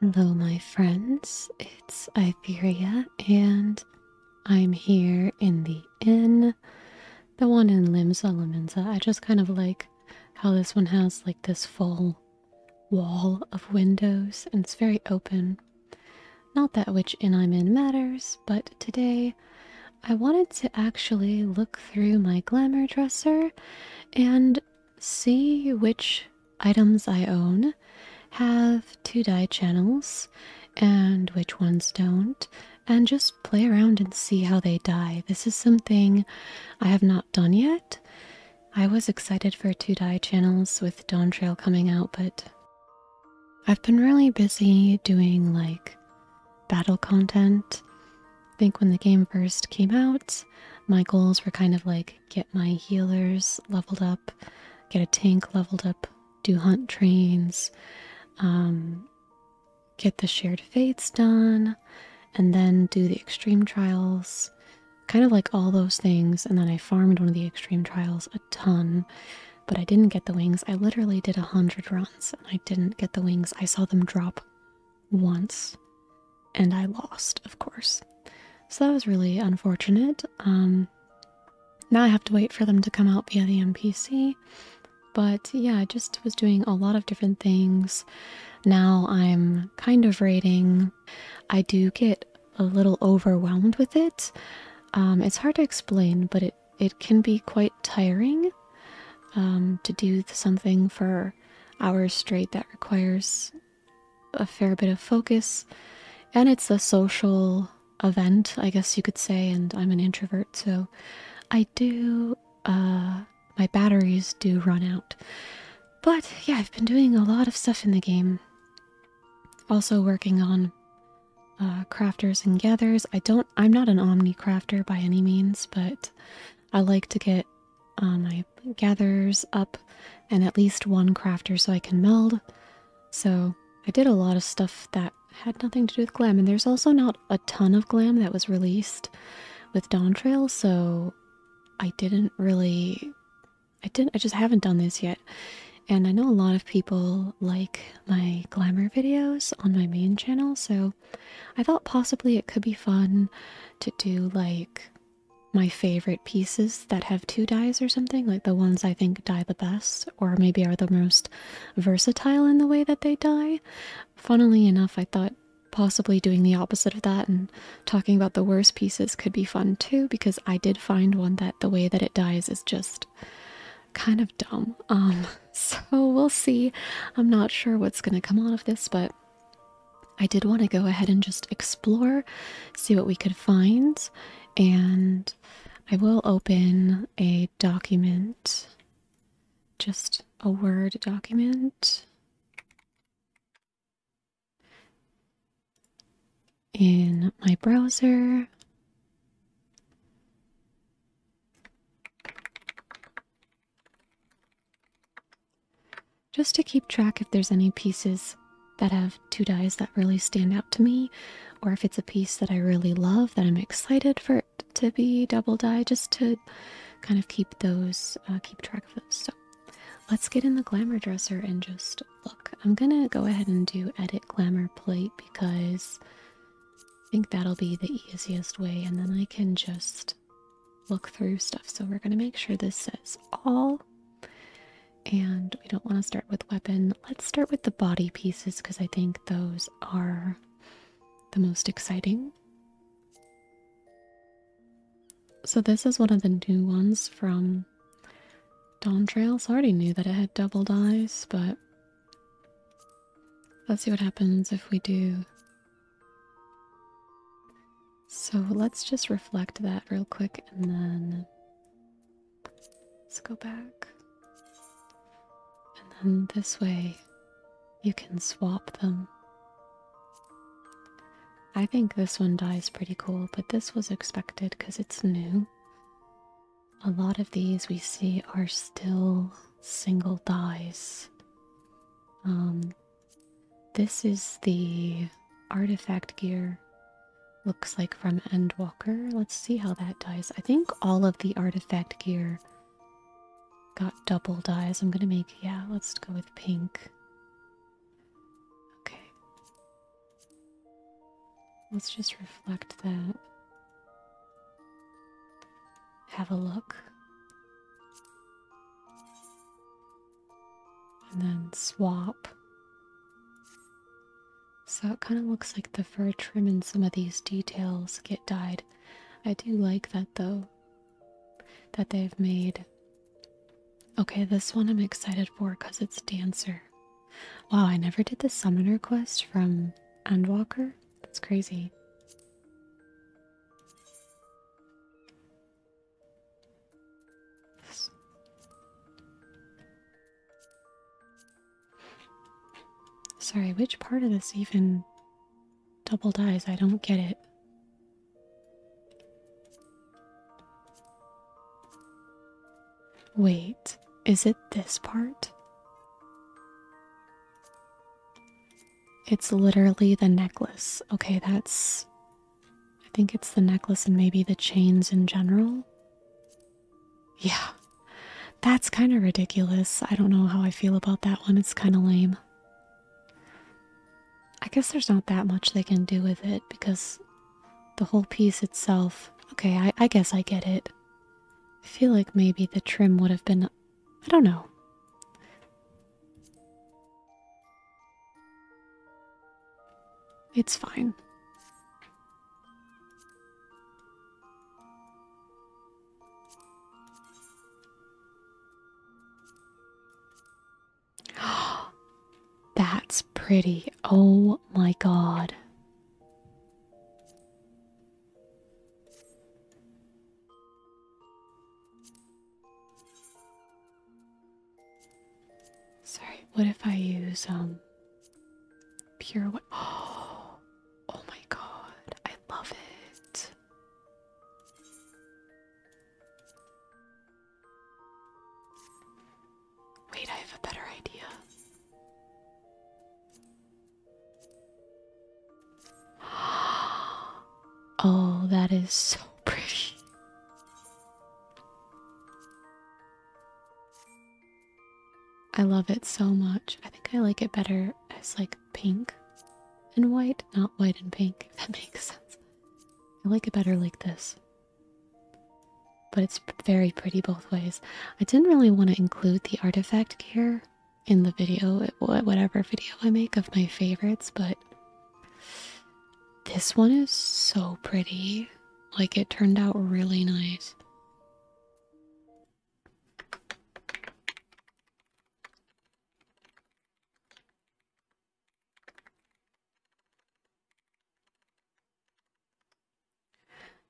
Hello, my friends. It's Iberia, and I'm here in the inn, the one in Limsa Limenza. I just kind of like how this one has like this full wall of windows, and it's very open. Not that which inn I'm in matters, but today I wanted to actually look through my glamour dresser and see which items I own have two die channels and which ones don't, and just play around and see how they die. This is something I have not done yet. I was excited for two die channels with Dawn Trail coming out, but I've been really busy doing like battle content. I think when the game first came out, my goals were kind of like get my healers leveled up, get a tank leveled up, do hunt trains, um, get the shared fates done, and then do the extreme trials. Kind of like all those things, and then I farmed one of the extreme trials a ton, but I didn't get the wings. I literally did a hundred runs and I didn't get the wings. I saw them drop once and I lost, of course. So that was really unfortunate. Um, now I have to wait for them to come out via the MPC. But yeah, I just was doing a lot of different things. Now I'm kind of raiding. I do get a little overwhelmed with it. Um, it's hard to explain, but it, it can be quite tiring um, to do something for hours straight that requires a fair bit of focus, and it's a social event, I guess you could say. And I'm an introvert, so I do. Uh, my batteries do run out, but yeah, I've been doing a lot of stuff in the game. Also working on uh, crafters and gathers. I don't. I'm not an omni crafter by any means, but I like to get on uh, my I gathers up and at least one crafter so I can meld. So I did a lot of stuff that had nothing to do with glam, and there's also not a ton of glam that was released with Dawn Trail, so I didn't really I didn't I just haven't done this yet. And I know a lot of people like my glamour videos on my main channel, so I thought possibly it could be fun to do like my favorite pieces that have two dyes or something, like the ones I think dye the best, or maybe are the most versatile in the way that they dye. Funnily enough, I thought possibly doing the opposite of that and talking about the worst pieces could be fun too, because I did find one that the way that it dies is just kind of dumb. Um, so we'll see. I'm not sure what's going to come out of this, but I did want to go ahead and just explore, see what we could find, and I will open a document, just a Word document. In my browser, just to keep track if there's any pieces that have two dies that really stand out to me, or if it's a piece that I really love that I'm excited for it to be double die, just to kind of keep those, uh, keep track of those. So let's get in the glamour dresser and just look. I'm gonna go ahead and do edit glamour plate because I think that'll be the easiest way, and then I can just look through stuff. So we're gonna make sure this says all and we don't want to start with weapon. Let's start with the body pieces because I think those are the most exciting. So this is one of the new ones from Dawn Trails. I already knew that it had double dice, but let's see what happens if we do so let's just reflect that real quick and then let's go back. And then this way you can swap them. I think this one dies pretty cool, but this was expected because it's new. A lot of these we see are still single dies. Um, this is the artifact gear. Looks like from Endwalker. Let's see how that dies. I think all of the artifact gear got double dies. I'm gonna make, yeah, let's go with pink. Okay. Let's just reflect that. Have a look and then swap. So it kind of looks like the fur trim and some of these details get dyed. I do like that though, that they've made. Okay, this one I'm excited for because it's Dancer. Wow, I never did the summoner quest from Endwalker. That's crazy. Sorry, which part of this even double dies? I don't get it. Wait, is it this part? It's literally the necklace. Okay, that's I think it's the necklace and maybe the chains in general. Yeah, that's kind of ridiculous. I don't know how I feel about that one. It's kind of lame. I guess there's not that much they can do with it because the whole piece itself. Okay, I, guess I get it. I feel like maybe the trim would have been. I don't know. It's fine. That's pretty. Oh my god. Sorry, what if I use um pure white? Oh, oh my god, I love it. Wait, I have a better idea. Oh, that is so pretty. I love it so much. I think I like it better as like pink and white, not white and pink, if that makes sense. I like it better like this. But it's very pretty both ways. I didn't really want to include the artifact gear in the video, whatever video I make of my favorites, but this one is so pretty. Like it turned out really nice.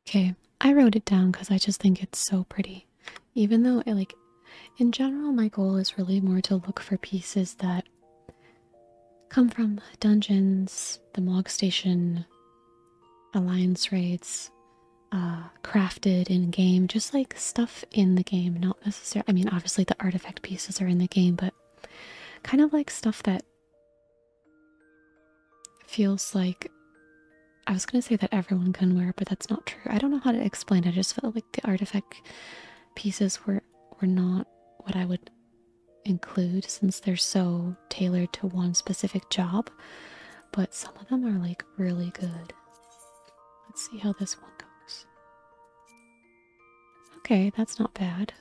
Okay, I wrote it down because I just think it's so pretty. Even though, I, like, in general, my goal is really more to look for pieces that come from dungeons, the Mogg Station, Alliance raids, uh, crafted in game, just like stuff in the game, not necessarily. I mean, obviously the artifact pieces are in the game, but kind of like stuff that feels like. I was gonna say that everyone can wear, but that's not true. I don't know how to explain. I just felt like the artifact pieces were were not what I would include since they're so tailored to one specific job, but some of them are like really good. Let's see how this one goes. Okay, that's not bad.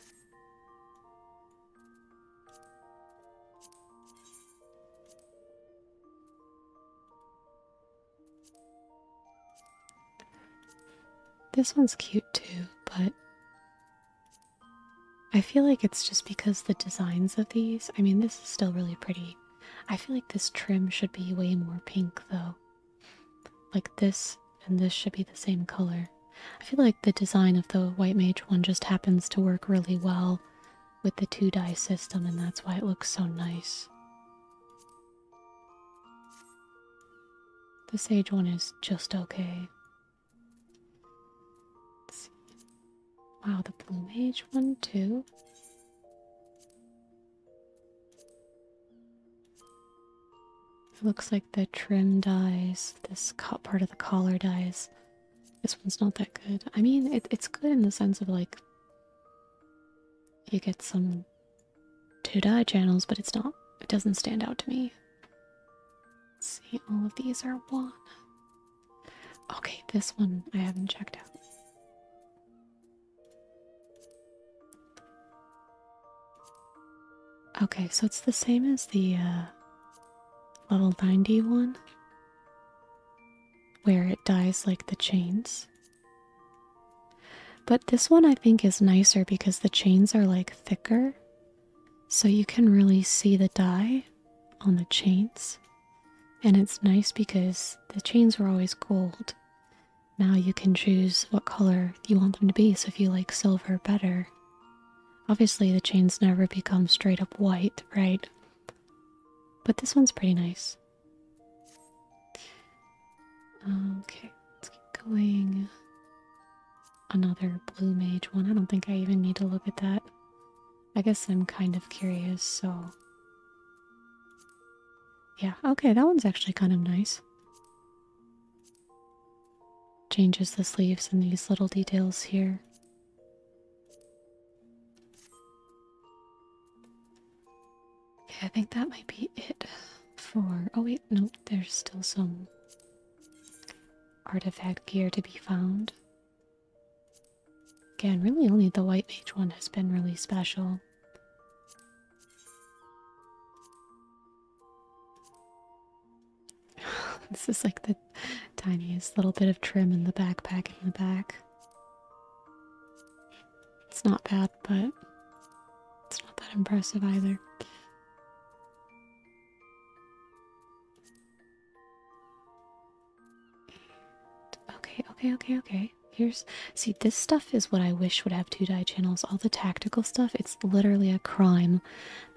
This one's cute too, but I feel like it's just because the designs of these, I mean, this is still really pretty. I feel like this trim should be way more pink though. Like this and this should be the same color. I feel like the design of the White Mage one just happens to work really well with the two die system, and that's why it looks so nice. The Sage one is just okay. Wow, the plumage one too. It looks like the trim dies, this part of the collar dies. This one's not that good. I mean, it's good in the sense of like you get some two dye channels, but it's not, it doesn't stand out to me Let's see, all of these are one. Okay, this one I haven't checked out. Okay, so it's the same as the uh, level 90 one, where it dies like the chains. But this one I think is nicer because the chains are like thicker so you can really see the dye on the chains. And it's nice because the chains were always gold. Now you can choose what color you want them to be, so if you like silver better. Obviously, the chains never become straight up white, right? But this one's pretty nice. Okay, let's keep going another blue mage one. I don't think I even need to look at that. I guess I'm kind of curious, so. Yeah, okay, that one's actually kind of nice. Changes the sleeves and these little details here. Okay, I think that might be it for. Oh, wait, nope. there's still some artifact gear to be found. Again, really only the White page one has been really special. this is like the tiniest little bit of trim in the backpack in the back. It's not bad, but it's not that impressive either. Okay, okay, okay, okay. Here's see this stuff is what I wish would have two die channels. All the tactical stuff, it's literally a crime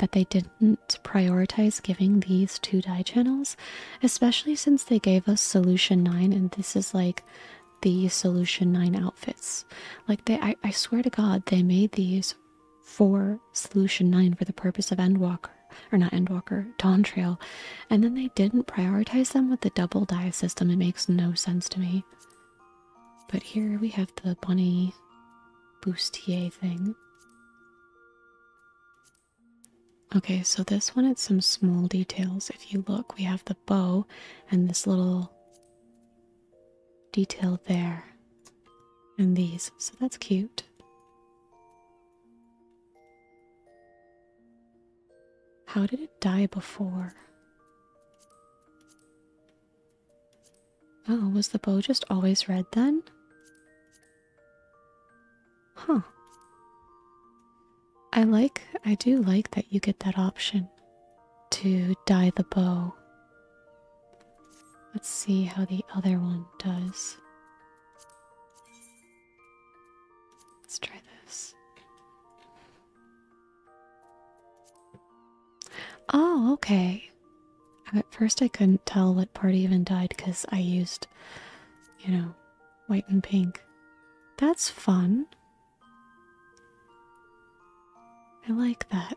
that they didn't prioritize giving these two die channels, especially since they gave us solution 9 and this is like the solution 9 outfits. Like they I, I swear to god they made these for solution 9 for the purpose of endwalker or not endwalker dawn and then they didn't prioritize them with the double dive system it makes no sense to me but here we have the bunny boostier thing okay so this one it's some small details if you look we have the bow and this little detail there and these, so that's cute. How did it die before? Oh, was the bow just always red then? Huh. I like, I do like that you get that option to dye the bow Let's see how the other one does. Let's try this. Oh, okay. At first I couldn't tell what part even died because I used, you know, white and pink. That's fun. I like that.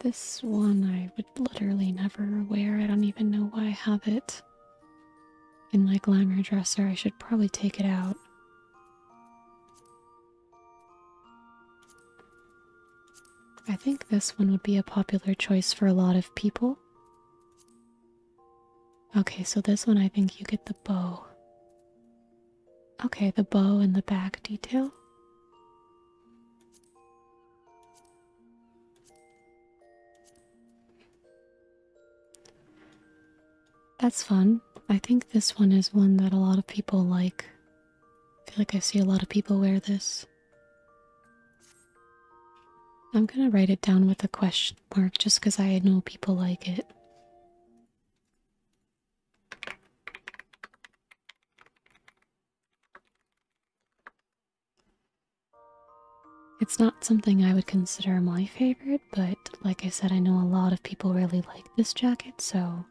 This one I would literally never wear. I don't even know why I have it in my glamour dresser. I should probably take it out. I think this one would be a popular choice for a lot of people. Okay, so this one I think you get the bow. Okay, the bow and the back detail. That's fun. I think this one is one that a lot of people like. I feel like I see a lot of people wear this. I'm gonna write it down with a question mark just because I know people like it. It's not something I would consider my favorite, but like I said, I know a lot of people really like this jacket, so.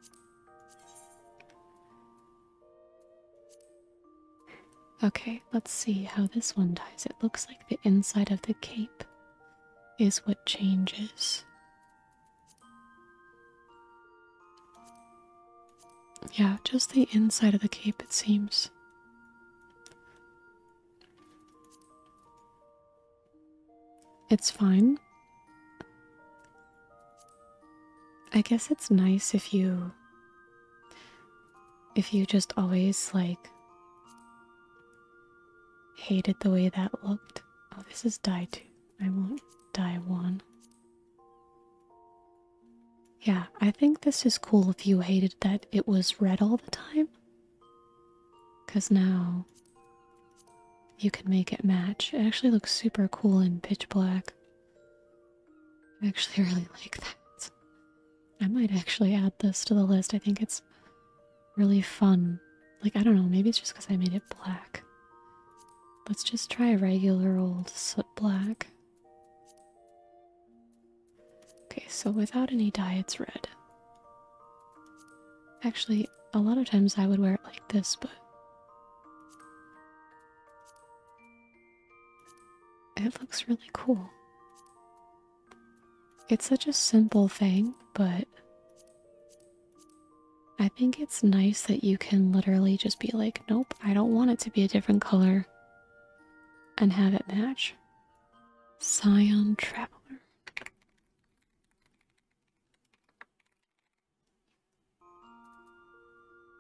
Okay, let's see how this one ties. It looks like the inside of the cape is what changes. Yeah, just the inside of the cape, it seems. It's fine. I guess it's nice if you if you just always like Hated the way that looked. Oh, this is die two. I won't die one. Yeah, I think this is cool if you hated that it was red all the time. Because now you can make it match. It actually looks super cool in pitch black. I actually really like that. I might actually add this to the list. I think it's really fun. Like, I don't know, maybe it's just because I made it black. Let's just try a regular old soot black. Okay, so without any dye, it's red. Actually, a lot of times I would wear it like this, but it looks really cool. It's such a simple thing, but I think it's nice that you can literally just be like, nope, I don't want it to be a different color and have it match. Scion Traveler.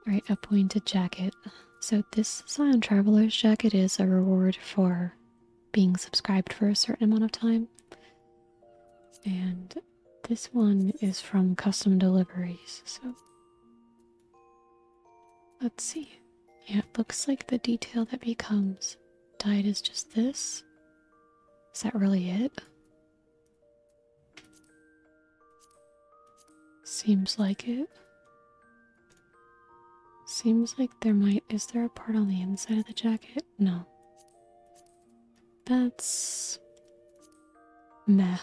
Alright, a pointed jacket. So, this Scion Traveler's jacket is a reward for being subscribed for a certain amount of time. And this one is from custom deliveries, so let's see. Yeah, it looks like the detail that becomes dyed is just this. Is that really it? Seems like it. Seems like there might. Is there a part on the inside of the jacket? no. That's meh.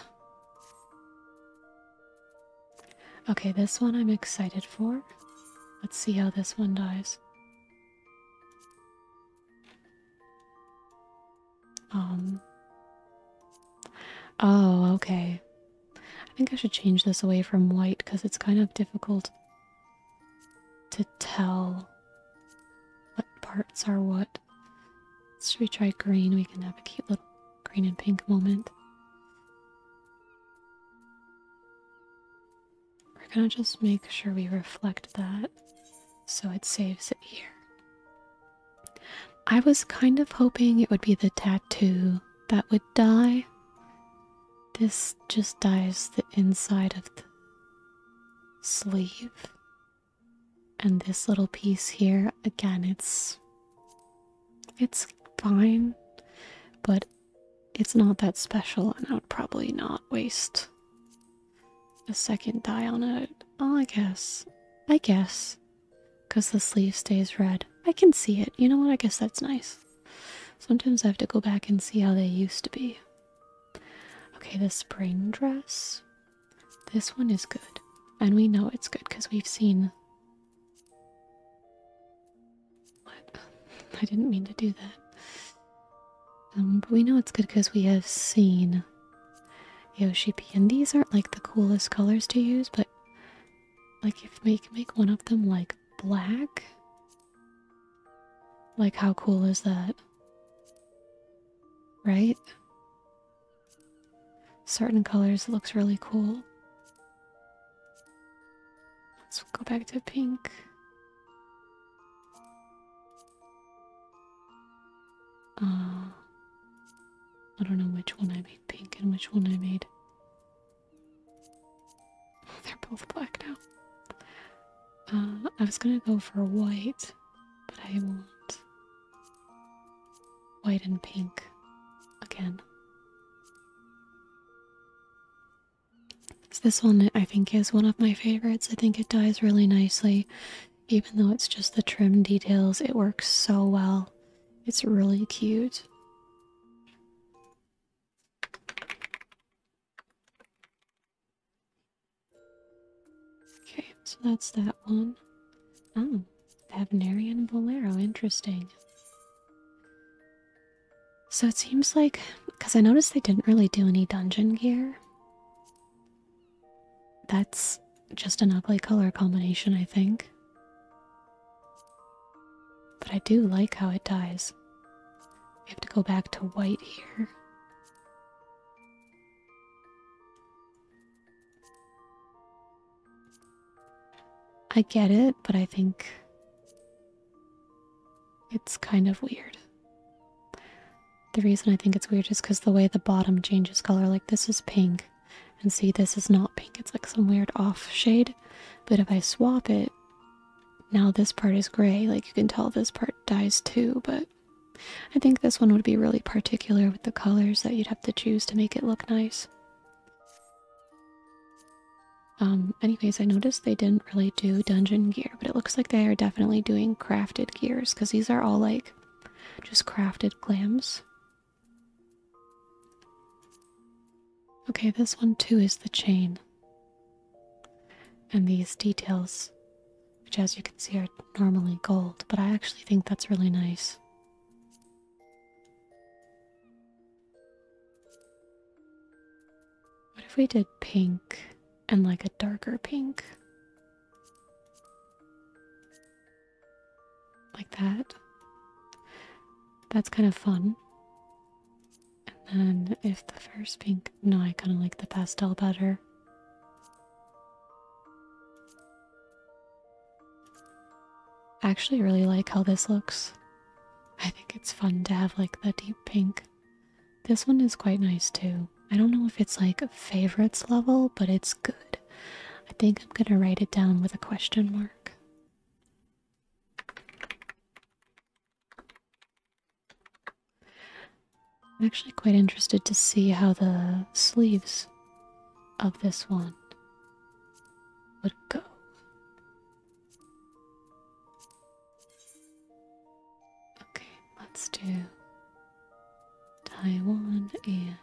Okay, this one I'm excited for. Let's see how this one dies. Um. Oh, okay. I think I should change this away from white because it's kind of difficult to tell what parts are what. Should we try green? We can have a cute little green and pink moment. We're gonna just make sure we reflect that so it saves it here. I was kind of hoping it would be the tattoo that would die. This just dyes the inside of the sleeve. And this little piece here, again, it's it's fine, but it's not that special, and I would probably not waste a second dye on it. Oh, I guess. I guess. Because the sleeve stays red. I can see it. You know what? I guess that's nice. Sometimes I have to go back and see how they used to be. Okay, the spring dress. This one is good. And we know it's good because we've seen. What? I didn't mean to do that. Um, but we know it's good because we have seen Yoshi P. And these aren't like the coolest colors to use, but like if make make one of them like black like, how cool is that? Right? Certain colors looks really cool. Let's go back to pink. Uh, I don't know which one I made pink and which one I made Oh, they're both black now. Uh, I was gonna go for white, but I won't. white and pink again. this one, I think, is one of my favorites. I think it dyes really nicely. Even though it's just the trim details, it works so well. It's really cute. Okay, so that's that one. Oh, Pavnarian Bolero, interesting. So it seems like, because I noticed they didn't really do any dungeon gear. That's just an ugly color combination, I think. But I do like how it dies. We have to go back to white here. I get it, but I think it's kind of weird. The reason I think it's weird is because the way the bottom changes color, like this is pink, and see, this is not pink, it's like some weird off shade. But if I swap it, now this part is gray, like you can tell this part dies too, but I think this one would be really particular with the colors that you'd have to choose to make it look nice. Um, anyways, I noticed they didn't really do dungeon gear, but it looks like they are definitely doing crafted gears, because these are all like just crafted clams. Okay, this one too is the chain. And these details, which as you can see are normally gold, but I actually think that's really nice. What if we did pink and like a darker pink? Like that. That's kind of fun. And then if the first pink, no, I kind of like the pastel better. I actually really like how this looks. I think it's fun to have like the deep pink. This one is quite nice too. I don't know if it's like a favorites level, but it's good. I think I'm gonna write it down with a question mark. I'm actually quite interested to see how the sleeves of this one would go. Okay, let's do tie one and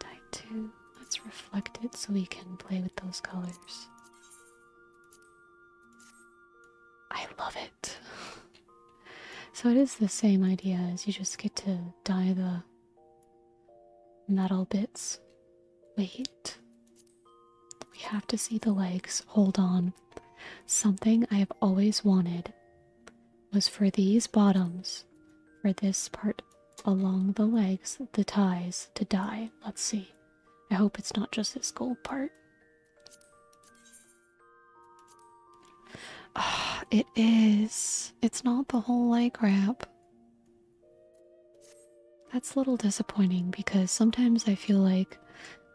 tie two. Let's reflect it so we can play with those colors. I love it so it is the same idea as you just get to dye the metal bits. Wait. We have to see the legs. Hold on. Something I have always wanted was for these bottoms, for this part along the legs, the ties to die. Let's see. I hope it's not just this gold part. Ah, it is. It's not the whole light wrap. That's a little disappointing because sometimes I feel like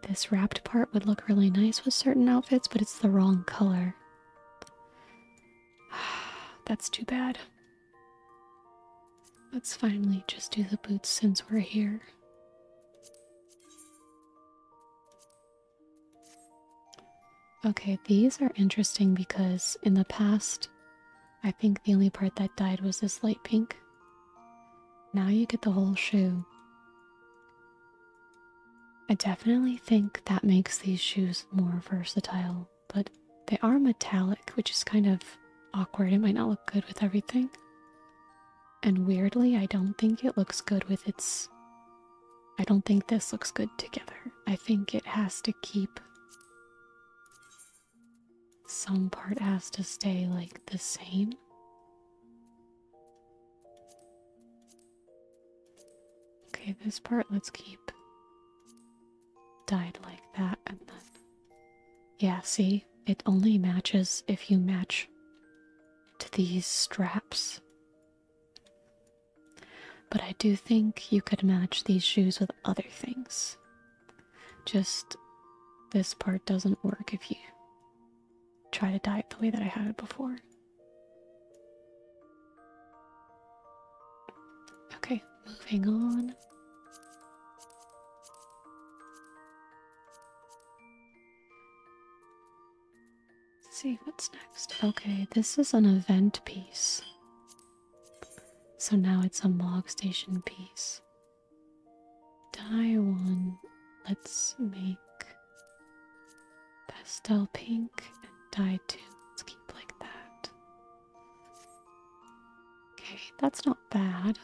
this wrapped part would look really nice with certain outfits, but it's the wrong color. That's too bad. Let's finally just do the boots since we're here. Okay, these are interesting because in the past, I think the only part that died was this light pink. Now you get the whole shoe. I definitely think that makes these shoes more versatile, but they are metallic, which is kind of awkward. It might not look good with everything. And weirdly, I don't think it looks good with its. I don't think this looks good together. I think it has to keep. Some part has to stay like the same. Okay, this part let's keep dyed like that and then yeah, see, it only matches if you match to these straps. But I do think you could match these shoes with other things. Just this part doesn't work if you try to dye it the way that I had it before. Okay, moving on. Let's see what's next. Okay, this is an event piece. So now it's a log station piece. Dye one. Let's make pastel pink and dye two. Let's keep like that. Okay, that's not bad.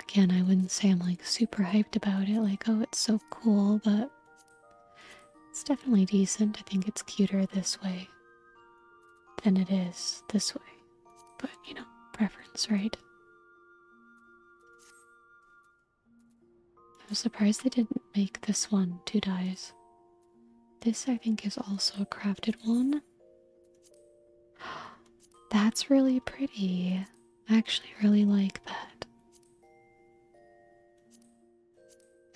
Again, I wouldn't say I'm like super hyped about it, like, oh, it's so cool, but it's definitely decent. I think it's cuter this way than it is this way. But, you know, preference, right? I'm surprised they didn't make this one two dies. This, I think, is also a crafted one. That's really pretty. I actually really like that.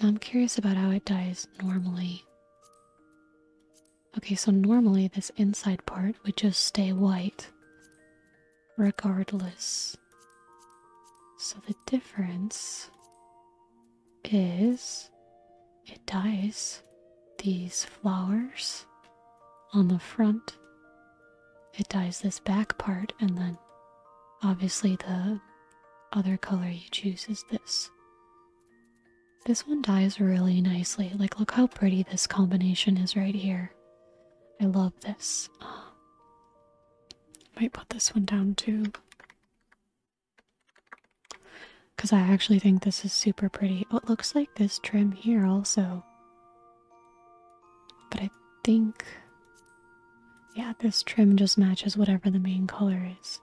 I'm curious about how it dies normally. Okay, so normally this inside part would just stay white regardless. So the difference is it dyes these flowers on the front. It dyes this back part, and then obviously the other color you choose is this. This one dyes really nicely. Like, look how pretty this combination is right here. I love this. Uh, might put this one down too because I actually think this is super pretty. Oh, it looks like this trim here also. But I think, yeah, this trim just matches whatever the main color is.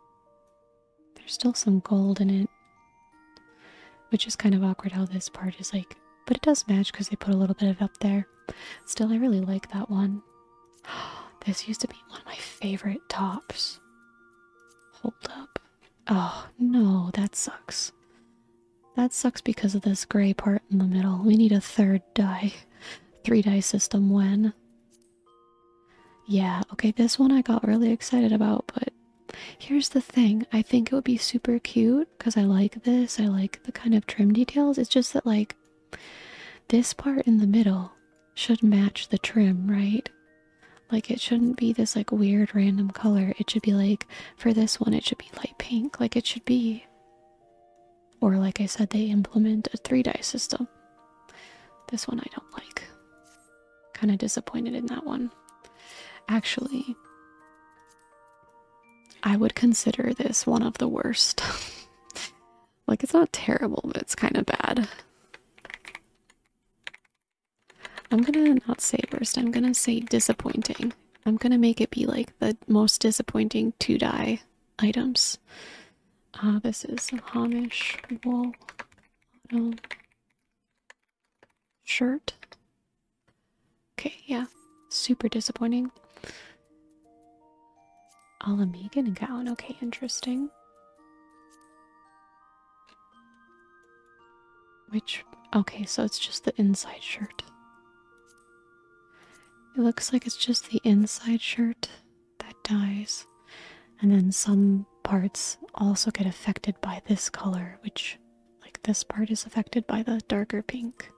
There's still some gold in it, which is kind of awkward how this part is like, but it does match because they put a little bit of it up there. Still, I really like that one. This used to be one of my favorite tops. Hold up. Oh, no, that sucks. That sucks because of this gray part in the middle. We need a third die. Three die system when. Yeah, okay, this one I got really excited about, but here's the thing. I think it would be super cute because I like this. I like the kind of trim details. It's just that, like, this part in the middle should match the trim, right? Like it shouldn't be this like weird random color. It should be like for this one it should be light pink like it should be. Or like I said they implement a 3 die system. This one I don't like. Kind of disappointed in that one. Actually, I would consider this one of the worst. like it's not terrible, but it's kind of bad. I'm gonna not say worst, I'm gonna say disappointing. I'm gonna make it be like the most disappointing to die items. Uh, this is a Hamish wool shirt. Okay, yeah, super disappointing. All Alamegan gown, okay, interesting. Which, okay, so it's just the inside shirt. It looks like it's just the inside shirt that dies, and then some parts also get affected by this color, which, like, this part is affected by the darker pink,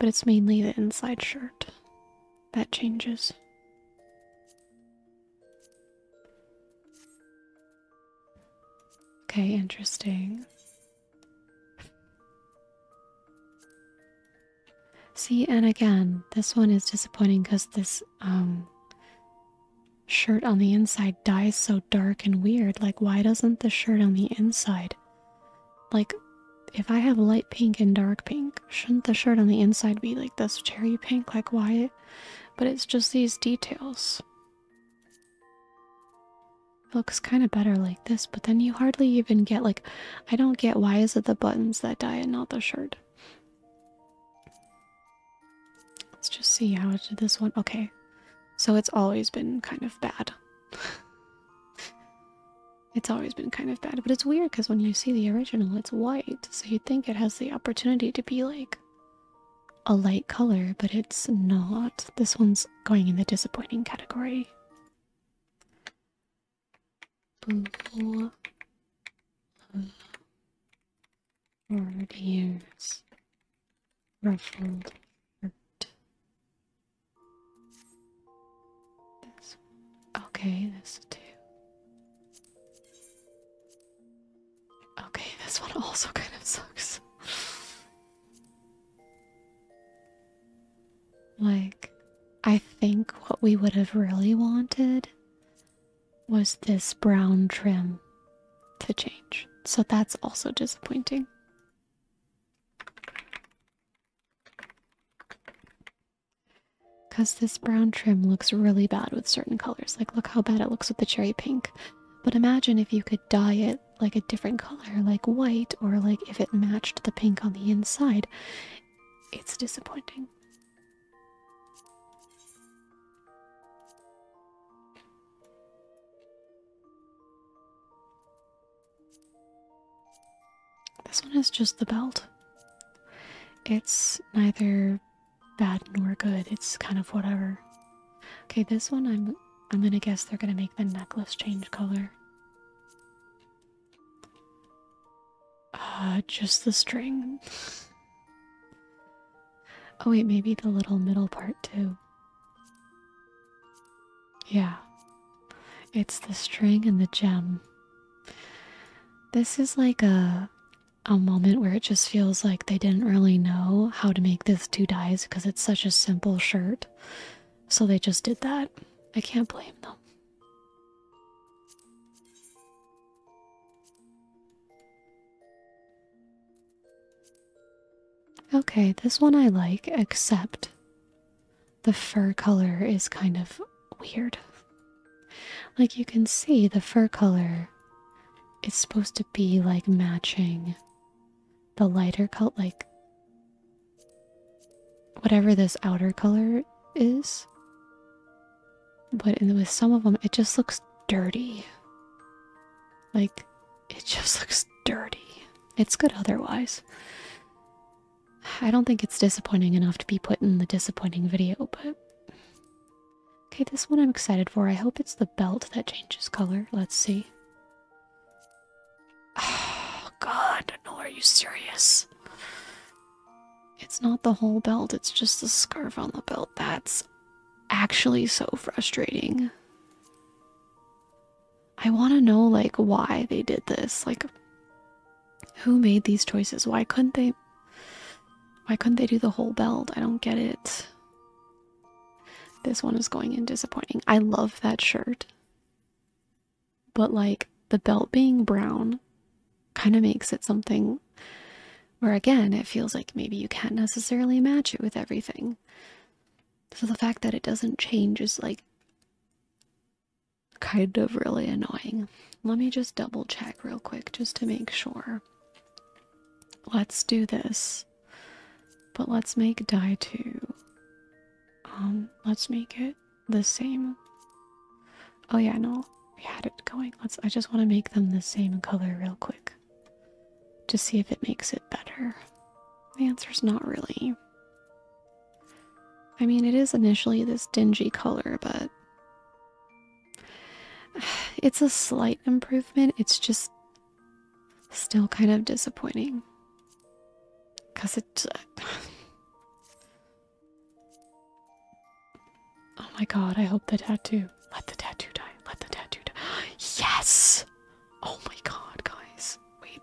but it's mainly the inside shirt that changes. Okay, interesting. See, and again, this one is disappointing because this um, shirt on the inside dies so dark and weird. Like, why doesn't the shirt on the inside? Like, if I have light pink and dark pink, shouldn't the shirt on the inside be like this cherry pink? Like, why? But it's just these details looks kind of better like this, but then you hardly even get like I don't get why is it the buttons that die and not the shirt. Let's just see how it did this one. Okay. So it's always been kind of bad. it's always been kind of bad, but it's weird because when you see the original, it's white. So you'd think it has the opportunity to be like a light color, but it's not. This one's going in the disappointing category. Blue Word ruffled hurt. This one. Okay, this too. Okay, this one also kind of sucks. like, I think what we would have really wanted was this brown trim to change. So that's also disappointing. Because this brown trim looks really bad with certain colors. Like, look how bad it looks with the cherry pink. But imagine if you could dye it like a different color, like white, or like if it matched the pink on the inside, it's disappointing. This one is just the belt. It's neither bad nor good, it's kind of whatever. Okay, this one I'm I'm gonna guess they're gonna make the necklace change color. Uh just the string. oh wait, maybe the little middle part too. Yeah. It's the string and the gem. This is like a a moment where it just feels like they didn't really know how to make this two dyes because it's such a simple shirt. So they just did that. I can't blame them. Okay, this one I like, except the fur color is kind of weird. Like you can see, the fur color its supposed to be like matching the lighter color, like whatever this outer color is. But with some of them, it just looks dirty. Like, it just looks dirty. It's good otherwise. I don't think it's disappointing enough to be put in the disappointing video, but. Okay, this one I'm excited for. I hope it's the belt that changes color. Let's see. Oh, God, no, are you serious? It's not the whole belt, it's just the scarf on the belt. That's actually so frustrating. I want to know, like, why they did this. Like, who made these choices? Why couldn't they? Why couldn't they do the whole belt? I don't get it. This one is going in disappointing. I love that shirt. But like the belt being brown kind of makes it something where again it feels like maybe you can't necessarily match it with everything. So the fact that it doesn't change is like kind of really annoying. Let me just double check real quick just to make sure. Let's do this. But let's make die 2. Um, let's make it the same. Oh yeah, no, we had it going. Let's I just want to make them the same color real quick. To see if it makes it better. The answer's not really. I mean, it is initially this dingy color, but it's a slight improvement. It's just Still kind of disappointing. Because it. Uh, oh my god, I hope the tattoo. Let the tattoo die. Let the tattoo die. Yes! Oh my god, guys. Wait.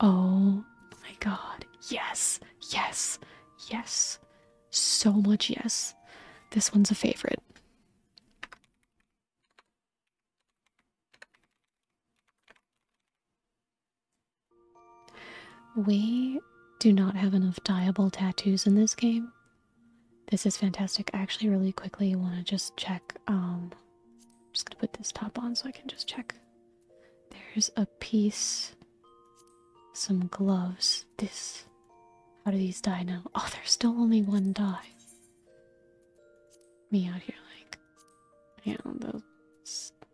Oh my god. Yes. Yes. Yes. So much yes. This one's a favorite. We do not have enough diable tattoos in this game. This is fantastic. I actually really quickly want to just check. Um, just to put this top on so I can just check. There's a piece, some gloves. This how do these die now? Oh, there's still only one die. Me out here, like, yeah,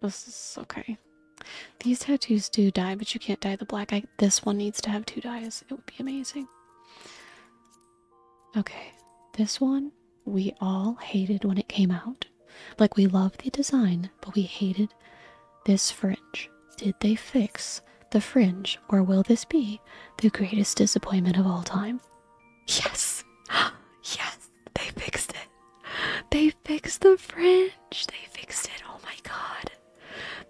this, is okay. These tattoos do die, but you can't dye the black. I, this one needs to have two dyes. It would be amazing. Okay, this one we all hated when it came out. Like, we loved the design, but we hated this fringe. Did they fix the fringe, or will this be the greatest disappointment of all time? Yes! yes! They fixed it! They fixed the fringe! They fixed it! Oh my god!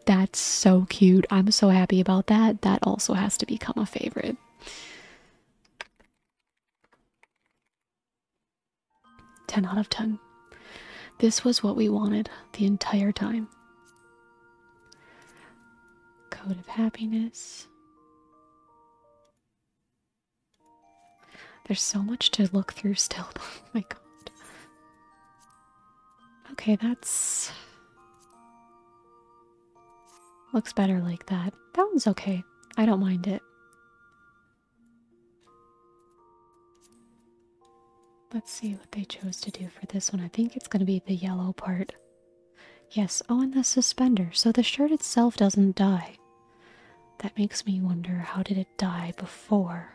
That's so cute. I'm so happy about that. That also has to become a favorite. Ten out of ten. This was what we wanted the entire time. Code of Happiness. There's so much to look through still. Oh my god. Okay, that's. Looks better like that. That one's okay. I don't mind it. Let's see what they chose to do for this one. I think it's going to be the yellow part. Yes, oh, and the suspender. So the shirt itself doesn't die. That makes me wonder how did it die before?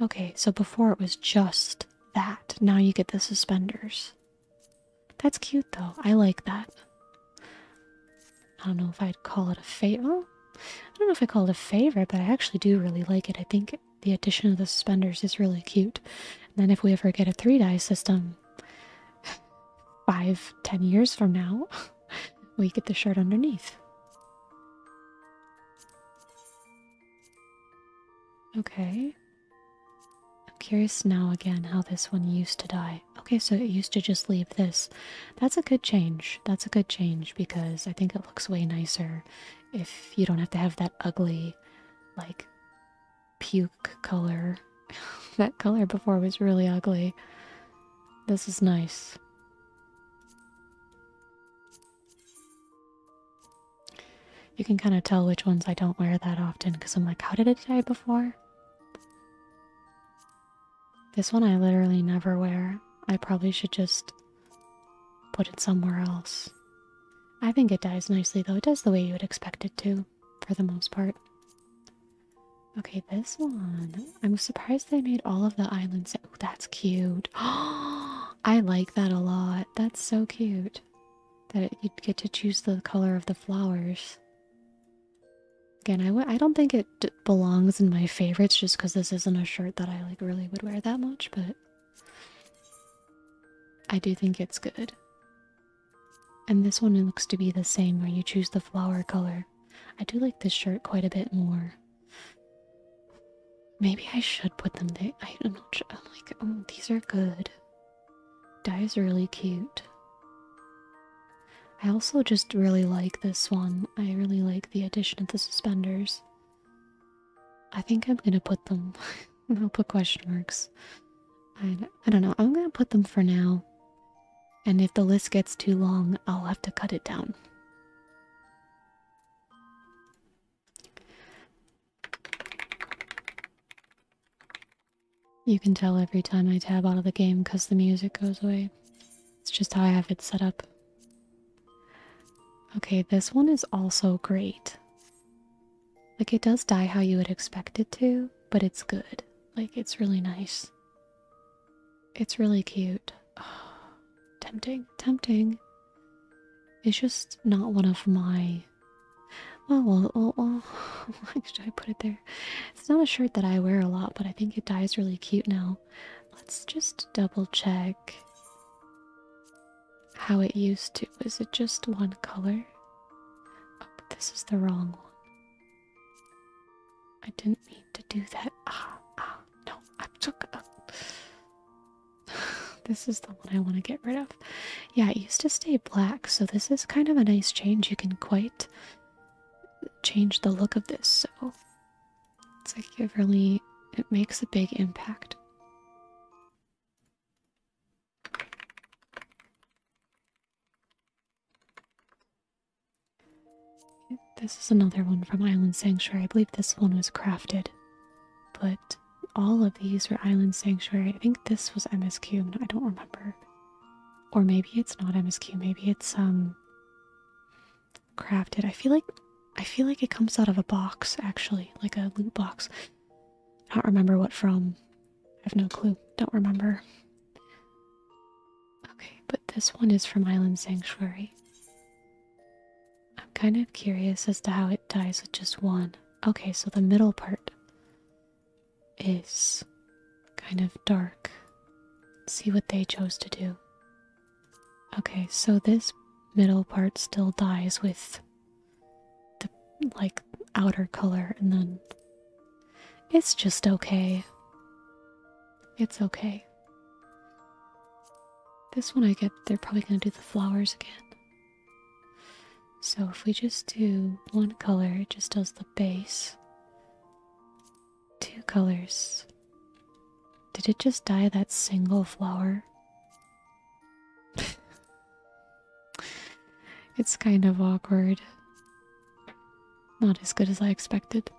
Okay, so before it was just that. Now you get the suspenders. That's cute though. I like that. I don't know if I'd call it a favor. Oh, I don't know if I call it a favor, but I actually do really like it. I think the addition of the suspenders is really cute. And then if we ever get a three die system, five, ten years from now, we get the shirt underneath. Okay. I'm curious now again how this one used to die. Okay, so it used to just leave this. That's a good change. That's a good change because I think it looks way nicer if you don't have to have that ugly, like, puke color. that color before was really ugly. This is nice. You can kind of tell which ones I don't wear that often because I'm like, how did it die before? This one I literally never wear. I probably should just put it somewhere else. I think it dies nicely, though. It does the way you would expect it to, for the most part. Okay, this one. I'm surprised they made all of the islands. Oh, that's cute. I like that a lot. That's so cute that you'd get to choose the color of the flowers. Again, I w I don't think it belongs in my favorites just because this isn't a shirt that I like really would wear that much, but I do think it's good. And this one looks to be the same where you choose the flower color. I do like this shirt quite a bit more. Maybe I should put them there. I don't know. I'm like, oh, these are good. is really cute. I also just really like this one. I really like the addition of the suspenders. I think I'm gonna put them. I'll put question marks. I, I don't know. I'm gonna put them for now. And if the list gets too long, I'll have to cut it down. You can tell every time I tab out of the game because the music goes away. It's just how I have it set up. Okay, this one is also great. Like it does die how you would expect it to, but it's good. Like it's really nice. It's really cute. Oh, tempting, tempting. It's just not one of my. Oh, well, well, well, why should I put it there? It's not a shirt that I wear a lot, but I think it dies really cute now. Let's just double check how it used to. Is it just one color? Oh, but this is the wrong one. I didn't mean to do that. Ah, ah, no, I took this is the one I want to get rid of. Yeah, it used to stay black, so this is kind of a nice change. You can quite change the look of this, so it's like it really it makes a big impact. This is another one from Island Sanctuary. I believe this one was crafted, but all of these were Island Sanctuary. I think this was MSQ. I don't remember. Or maybe it's not MSQ. Maybe it's um crafted. I feel like I feel like it comes out of a box actually, like a loot box. I don't remember what from. I have no clue. Don't remember. Okay, but this one is from Island Sanctuary. I'm kind of curious as to how it dies with just one. Okay, so the middle part is kind of dark. see what they chose to do. Okay, so this middle part still dies with the like outer color and then it's just okay. It's okay. This one I get they're probably gonna do the flowers again. So if we just do one color, it just does the base. Two colors. Did it just dye that single flower? It's kind of awkward. Not as good as I expected.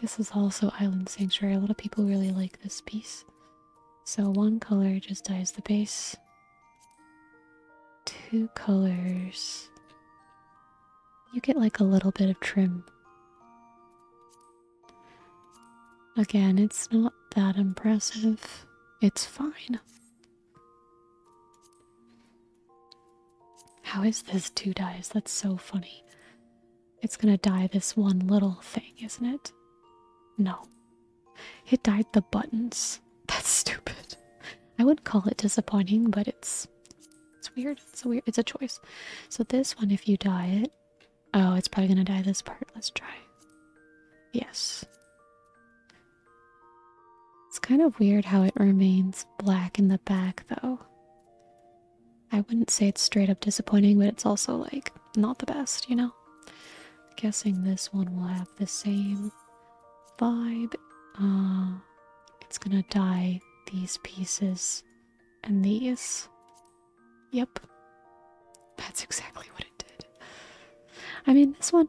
This is also Island Sanctuary. A lot of people really like this piece. So one color just dyes the base. Two colors. You get like a little bit of trim. Again, it's not that impressive. It's fine. How is this two dies? That's so funny. It's gonna die this one little thing, isn't it? No. It died the buttons. That's stupid. I would not call it disappointing, but it's it's weird. It's a weird it's a choice. So this one, if you die it, Oh, it's probably gonna die this part. Let's try. Yes. It's kind of weird how it remains black in the back, though. I wouldn't say it's straight up disappointing, but it's also like not the best, you know? guessing this one will have the same vibe. Uh, it's gonna dye these pieces and these. Yep. That's exactly what it did. I mean, this one,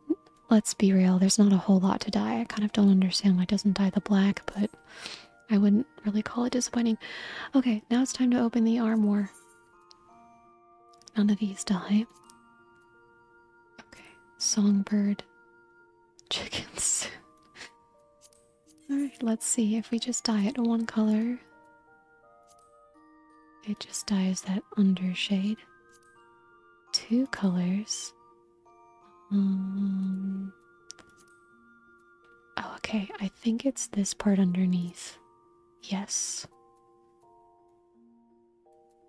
let's be real, there's not a whole lot to die. I kind of don't understand why it doesn't dye the black, but I wouldn't really call it disappointing. Okay, now it's time to open the armoire. None of these die. Okay, songbird, chickens. Alright, let's see if we just dye it one color. It just dyes that under shade. Two colors. Mm. oh, okay. I think it's this part underneath. Yes.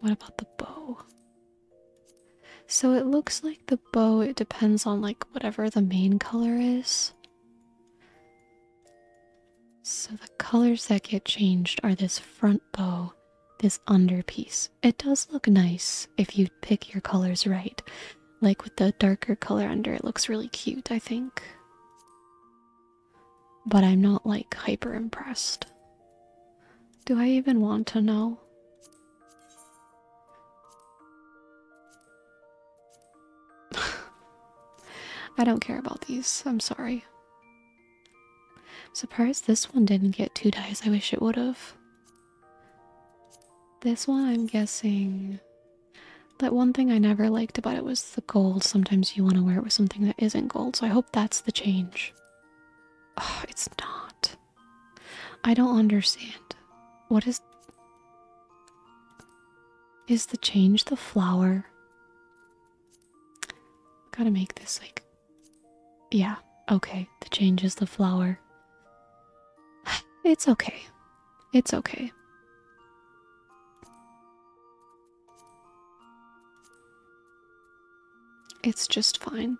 What about the bow? So it looks like the bow, it depends on like whatever the main color is. So the colors that get changed are this front bow, this underpiece. It does look nice if you pick your colors right. Like with the darker color under, it looks really cute, I think. But I'm not like hyper impressed. Do I even want to know? I don't care about these. I'm sorry. I'm surprised this one didn't get two dies. I wish it would have. This one, I'm guessing. That one thing I never liked about it was the gold. Sometimes you want to wear it with something that isn't gold, so I hope that's the change. it's not. I don't understand. What is. Is the change the flower? Gotta make this like. Yeah, okay. The change is the flower. It's okay. It's okay. It's just fine.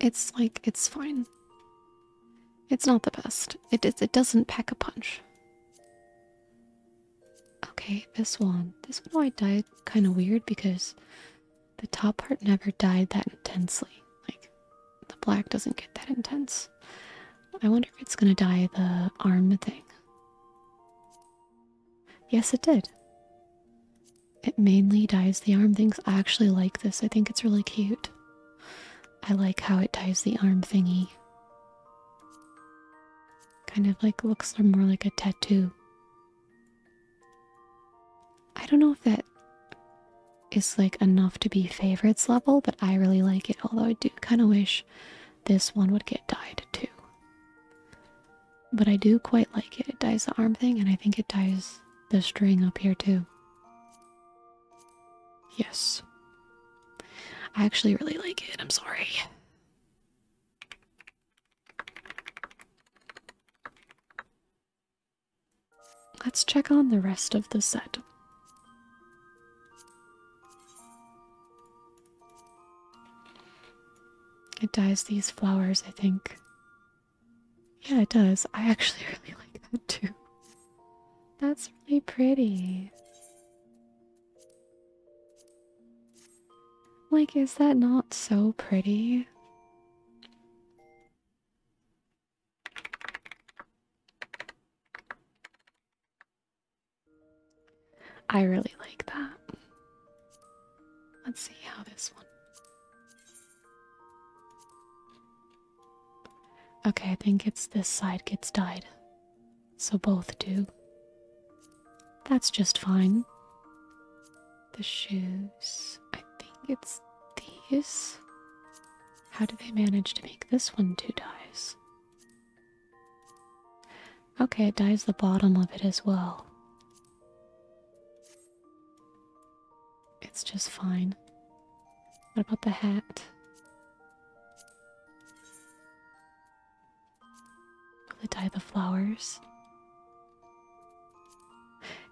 It's like it's fine. It's not the best. It it doesn't pack a punch. Okay, this one. This one I died kind of weird because the top part never died that intensely. Like the black doesn't get that intense. I wonder if it's gonna dye the arm thing. Yes, it did. It mainly dyes the arm things. I actually like this. I think it's really cute. I like how it ties the arm thingy. Kind of like looks more like a tattoo. I don't know if that is like enough to be favorites level, but I really like it. Although I do kind of wish this one would get dyed too. But I do quite like it. It ties the arm thing, and I think it ties the string up here too. Yes. I actually really like it. I'm sorry. Let's check on the rest of the set. It dyes these flowers, I think. Yeah, it does. I actually really like that too. That's really pretty. Like, is that not so pretty? I really like that. Let's see how this one Okay, I think it's this side gets dyed, So both do. That's just fine. The shoes. I think it's these. How do they manage to make this one two dies? Okay, it dies the bottom of it as well. It's just fine. What about the hat? Will it dye the flowers?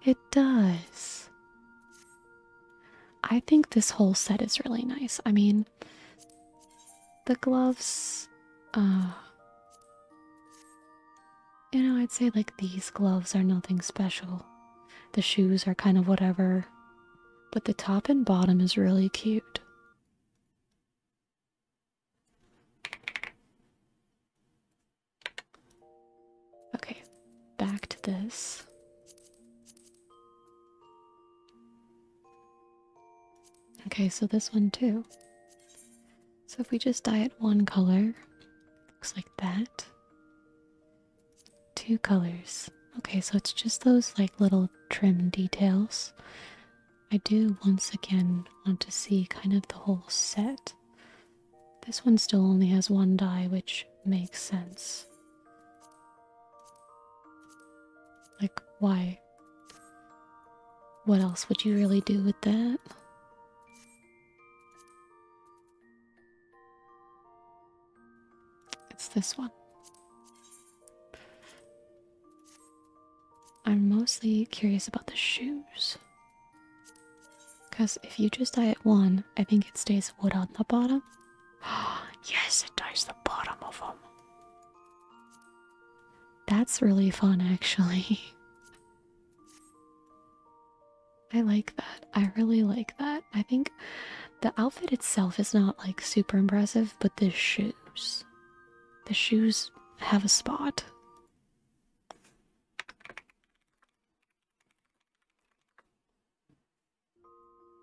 It does. I think this whole set is really nice. I mean, the gloves, uh, you know, I'd say like these gloves are nothing special. The shoes are kind of whatever. But the top and bottom is really cute. Okay, back to this. Okay, so this one too. So if we just dye it one color, looks like that. Two colors. Okay, so it's just those like little trim details. I do once again want to see kind of the whole set. This one still only has one dye, which makes sense. Like, why? What else would you really do with that? It's this one. I'm mostly curious about the shoes. Because if you just dye it one, I think it stays wood on the bottom. Ah, yes, it dyes the bottom of them. That's really fun, actually. I like that. I really like that. I think the outfit itself is not like super impressive, but the shoes. The shoes have a spot.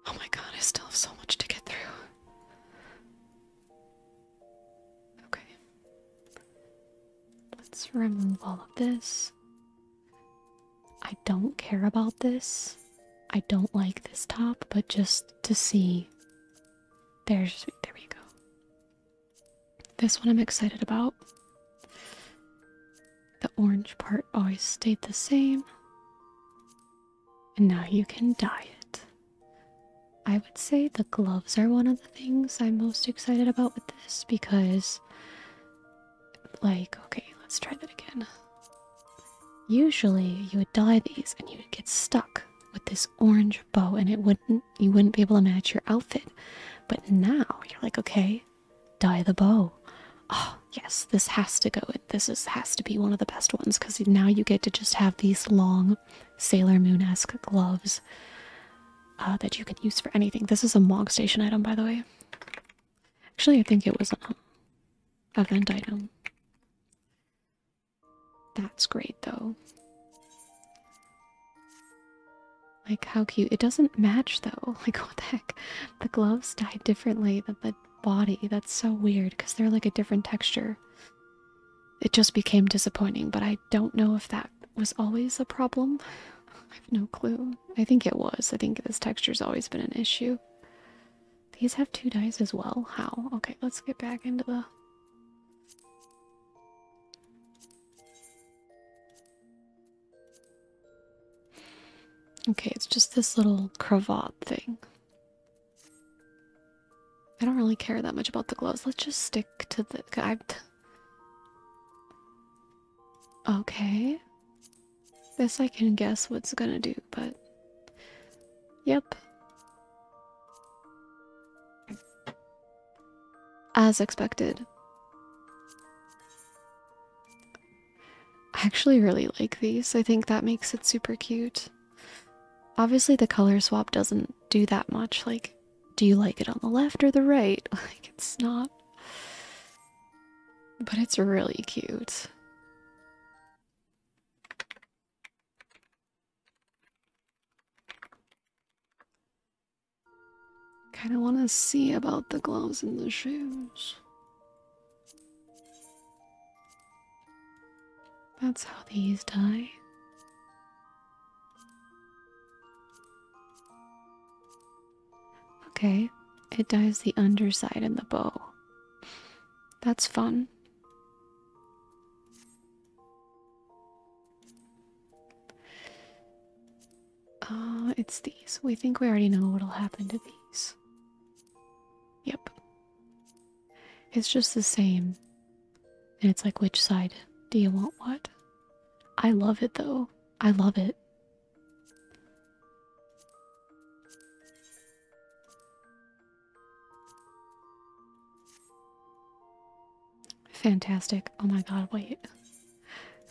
Oh my god, I still have so much to get through. Okay. Let's remove all of this. I don't care about this. I don't like this top, but just to see. There's there we go. This one I'm excited about. The orange part always stayed the same. And now you can dye it. I would say the gloves are one of the things I'm most excited about with this because like, okay, let's try that again. Usually you would dye these and you would get stuck with this orange bow and it wouldn't you wouldn't be able to match your outfit. But now you're like, okay, dye the bow. Oh, yes, this has to go. This is has to be one of the best ones because now you get to just have these long Sailor Moon-esque gloves uh, that you can use for anything. This is a Mog Station item, by the way. Actually, I think it was um, an event item. That's great, though. Like, how cute. It doesn't match, though. Like, what the heck? The gloves dye differently than the body. That's so weird, because they're like a different texture. It just became disappointing, but I don't know if that was always a problem. I have no clue. I think it was. I think this texture's always been an issue. These have two dice as well. How? Okay, let's get back into the. Okay, it's just this little cravat thing. I don't really care that much about the gloves. Let's just stick to the. I, Okay. This I can guess what's gonna do, but. Yep. As expected. I actually really like these. I think that makes it super cute. Obviously, the color swap doesn't do that much. Like, do you like it on the left or the right? Like, it's not but it's really cute. Kind of want to see about the gloves and the shoes. That's how these die. Okay, it dyes the underside of the bow. That's fun. Uh, it's these. We think we already know what'll happen to these. Yep. It's just the same. And it's like, which side do you want what? I love it though. I love it. Fantastic. Oh my god, wait.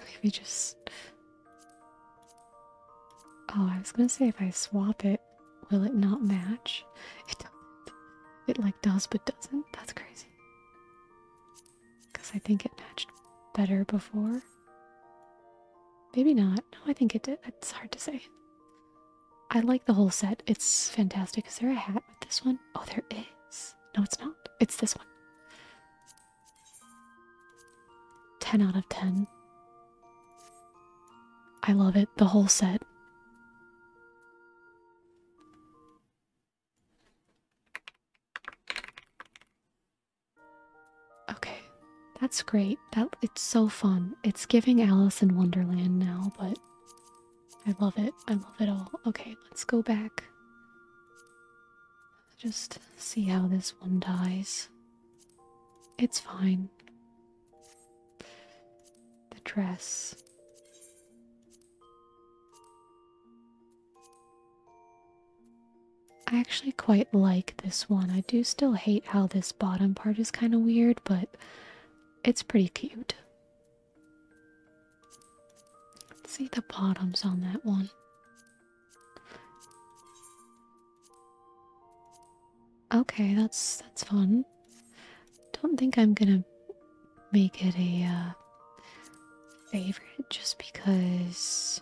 If you just... Oh, I was gonna say if I swap it, will it not match? It does It like does but doesn't. That's crazy because I think it matched better before. Maybe not. No, I think it did. It's hard to say. I like the whole set. It's fantastic. Is there a hat with this one? Oh, there is. No, it's not. It's this one. 10 out of 10. I love it. The whole set. Okay, that's great. That it's so fun. It's giving Alice in Wonderland now, but I love it. I love it all. Okay, let's go back. Just see how this one dies. It's fine. The dress. I actually quite like this one. I do still hate how this bottom part is kind of weird, but it's pretty cute. see the bottoms on that one. Okay, that's that's fun. Don't think I'm gonna make it a uh, favorite just because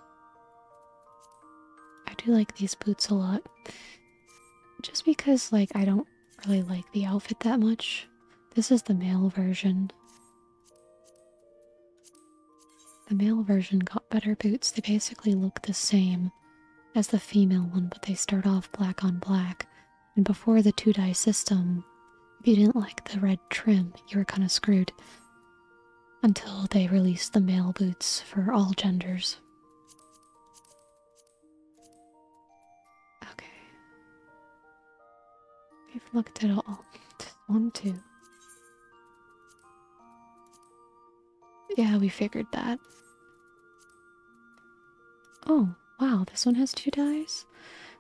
I do like these boots a lot. Just because, like, I don't really like the outfit that much. This is the male version. The male version got better boots. They basically look the same as the female one, but they start off black on black. And before the two dye system, if you didn't like the red trim, you were kind of screwed until they release the male boots for all genders. Okay. We've looked at all. One, two. Yeah, we figured that. Oh, wow, this one has two dies.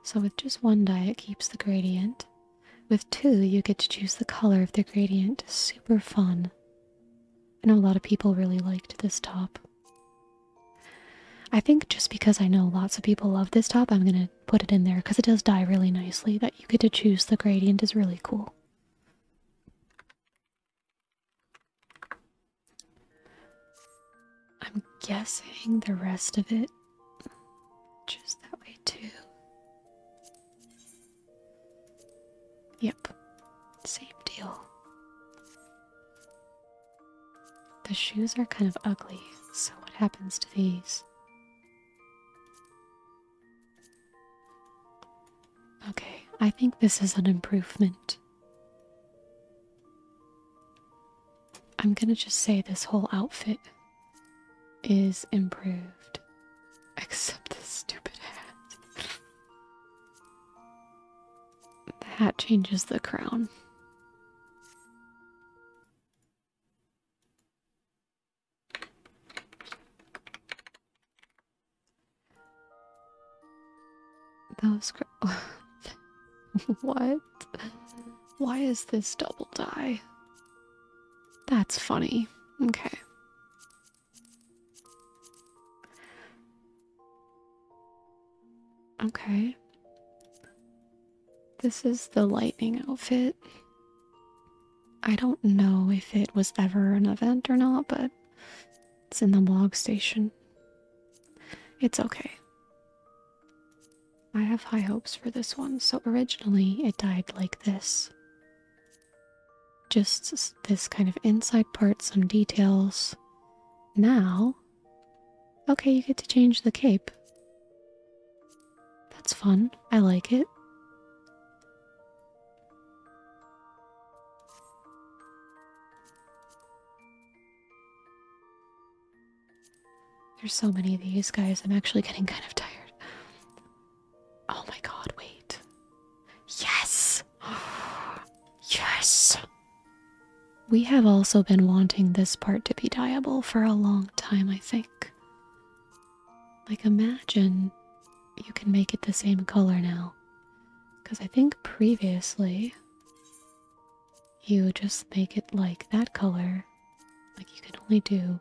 So with just one die, it keeps the gradient. With two, you get to choose the color of the gradient. Super fun. I know a lot of people really liked this top. I think just because I know lots of people love this top, I'm going to put it in there because it does dye really nicely. That you get to choose the gradient is really cool. I'm guessing the rest of it just that way too. Yep, same deal. The shoes are kind of ugly, so what happens to these? Okay, I think this is an improvement. I'm gonna just say this whole outfit is improved. Except the stupid hat. the hat changes the crown. Those what? Why is this double die? That's funny. Okay. Okay. This is the lightning outfit. I don't know if it was ever an event or not, but it's in the log station. It's okay. I have high hopes for this one, so originally it died like this. Just this kind of inside part, some details. Now, okay, you get to change the cape. That's fun. I like it. There's so many of these guys, I'm actually getting kind of tired. Oh my god, wait. Yes! yes! We have also been wanting this part to be dyeable for a long time, I think. Like, imagine you can make it the same color now. Because I think previously you just make it like that color like you could only do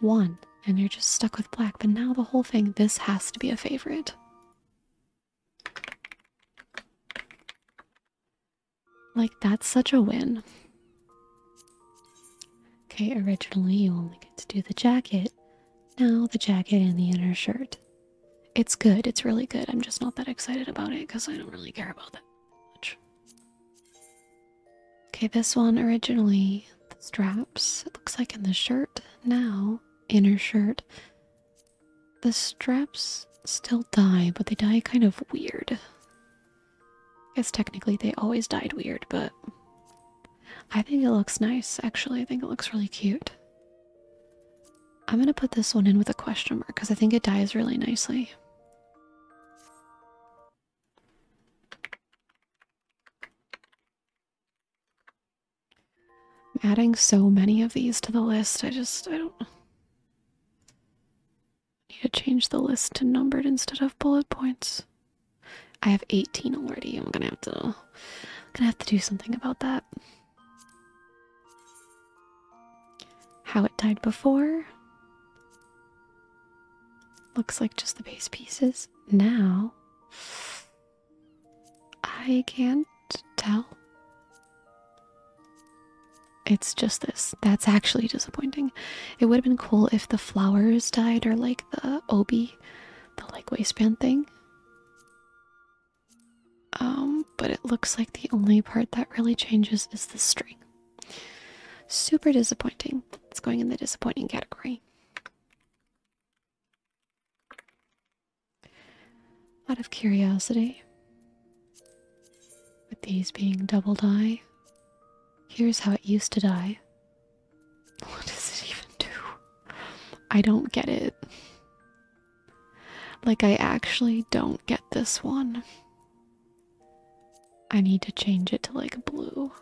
one and you're just stuck with black, but now the whole thing, this has to be a favorite. Like, that's such a win. Okay, originally you only get to do the jacket. Now the jacket and the inner shirt. It's good, it's really good. I'm just not that excited about it because I don't really care about that much. Okay, this one originally, the straps, it looks like in the shirt now, inner shirt, the straps still die, but they die kind of weird. I guess technically they always died weird, but I think it looks nice, actually. I think it looks really cute. I'm gonna put this one in with a question mark because I think it dies really nicely. I'm adding so many of these to the list. I just, I don't. need to change the list to numbered instead of bullet points. I have 18 already. I'm gonna have to, I'm gonna have to do something about that. How it died before. Looks like just the base pieces. Now, I can't tell. It's just this. That's actually disappointing. It would have been cool if the flowers died or like the obi, the like waistband thing. Um, but it looks like the only part that really changes is the string. Super disappointing. It's going in the disappointing category. Out of curiosity, with these being double die, here's how it used to die. What does it even do? I don't get it. Like, I actually don't get this one. I need to change it to like blue.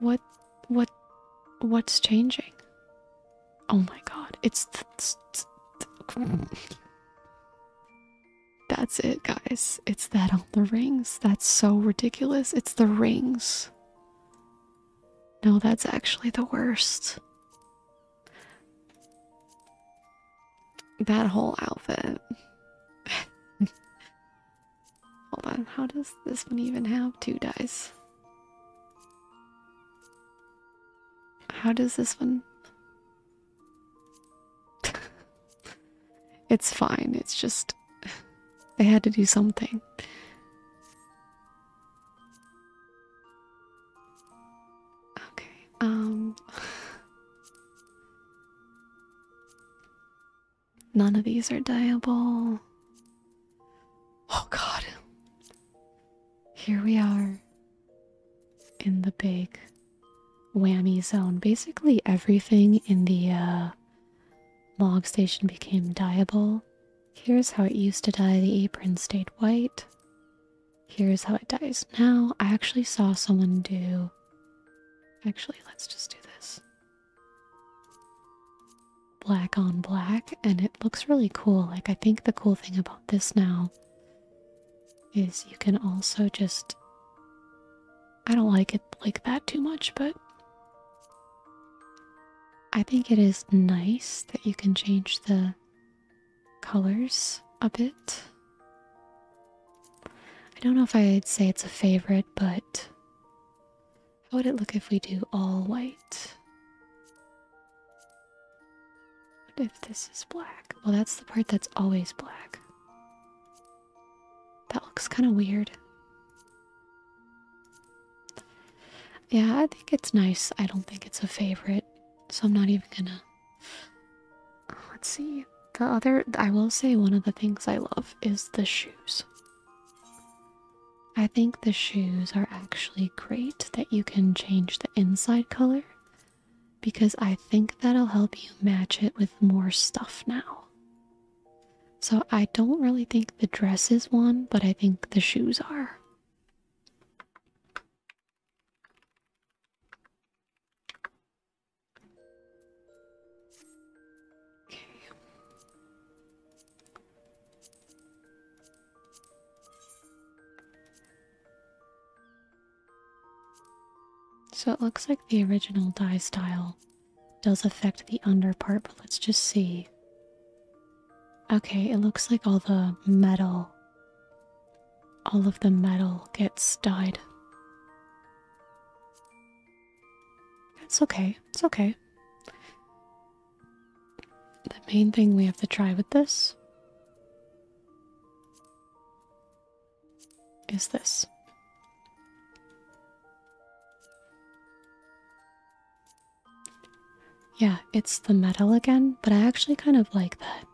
What what what's changing? Oh my god, it's That's it, guys. It's that on the rings. That's so ridiculous. It's the rings. No, that's actually the worst. That whole outfit. Hold on, how does this one even have two dice? How does this one? it's fine, it's just. They had to do something. Okay, um. None of these are dyeable. Oh god. Here we are in the big whammy zone. Basically everything in the uh, log station became dyeable. Here's how it used to dye. The apron stayed white. Here's how it dies now. I actually saw someone do... Actually, let's just do this black on black and it looks really cool. Like I think the cool thing about this now is you can also just I don't like it like that too much, but I think it is nice that you can change the colors a bit. I don't know if I'd say it's a favorite, but how would it look if we do all white? What if this is black? Well, that's the part that's always black. That looks kind of weird. Yeah, I think it's nice. I don't think it's a favorite, so I'm not even gonna. Let's see. The other, I will say, one of the things I love is the shoes. I think the shoes are actually great that you can change the inside color because I think that'll help you match it with more stuff now. So I don't really think the dress is one, but I think the shoes are. So it looks like the original dye style does affect the under part, but let's just see. Okay, it looks like all the metal, all of the metal gets dyed. It's okay. It's okay. The main thing we have to try with this is this. Yeah, it's the metal again, but I actually kind of like that.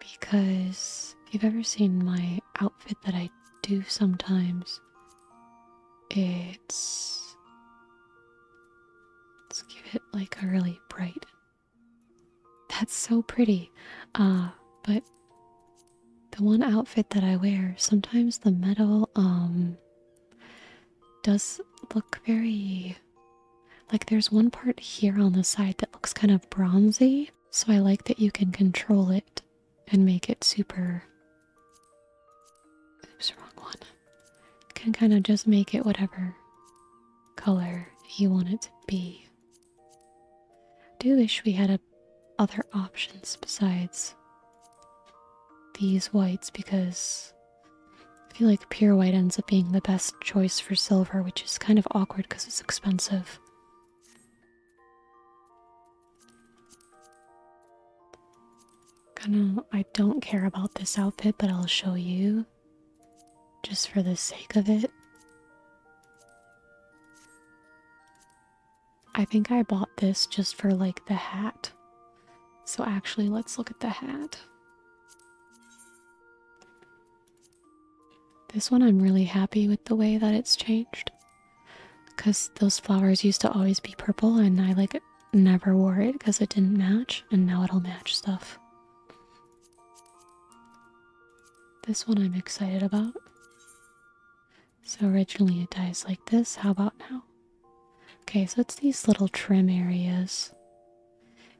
Because if you've ever seen my outfit that I do sometimes, it's let's give it like a really bright. That's so pretty. Uh, but the one outfit that I wear, sometimes the metal um does look very like there's one part here on the side that looks kind of bronzy, so I like that you can control it and make it super. Oops, wrong one. Can kind of just make it whatever color you want it to be. do wish we had other options besides these whites because I feel like pure white ends up being the best choice for silver, which is kind of awkward because it's expensive. Gonna, I don't care about this outfit, but I'll show you just for the sake of it. I think I bought this just for like the hat. So actually, let's look at the hat. This one I'm really happy with the way that it's changed because those flowers used to always be purple and I like never wore it because it didn't match and now it'll match stuff. This one I'm excited about. So originally it dies like this, how about now? Okay, so it's these little trim areas.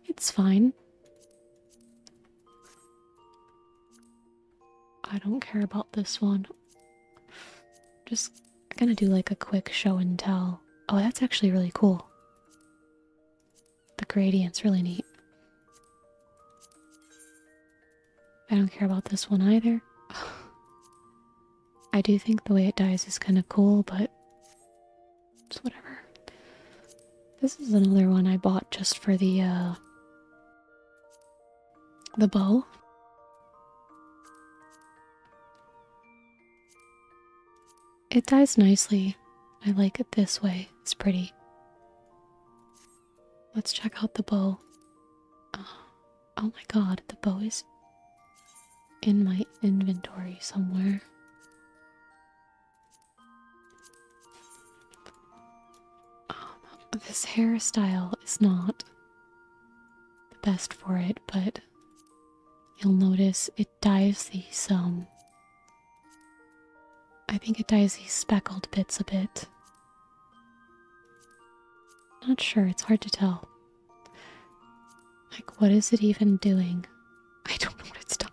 It's fine. I don't care about this one. Just gonna do like a quick show and tell. Oh, that's actually really cool. The gradient's really neat. I don't care about this one either. I do think the way it dies is kind of cool, but it's whatever. This is another one I bought just for the uh, the bow. It dies nicely. I like it this way. It's pretty. Let's check out the bow. Uh, oh my god, the bow is in my inventory somewhere. Um, this hairstyle is not the best for it, but you'll notice it dyes these, um, I think it dyes these speckled bits a bit. Not sure, it's hard to tell. Like, what is it even doing? I don't know what it's doing.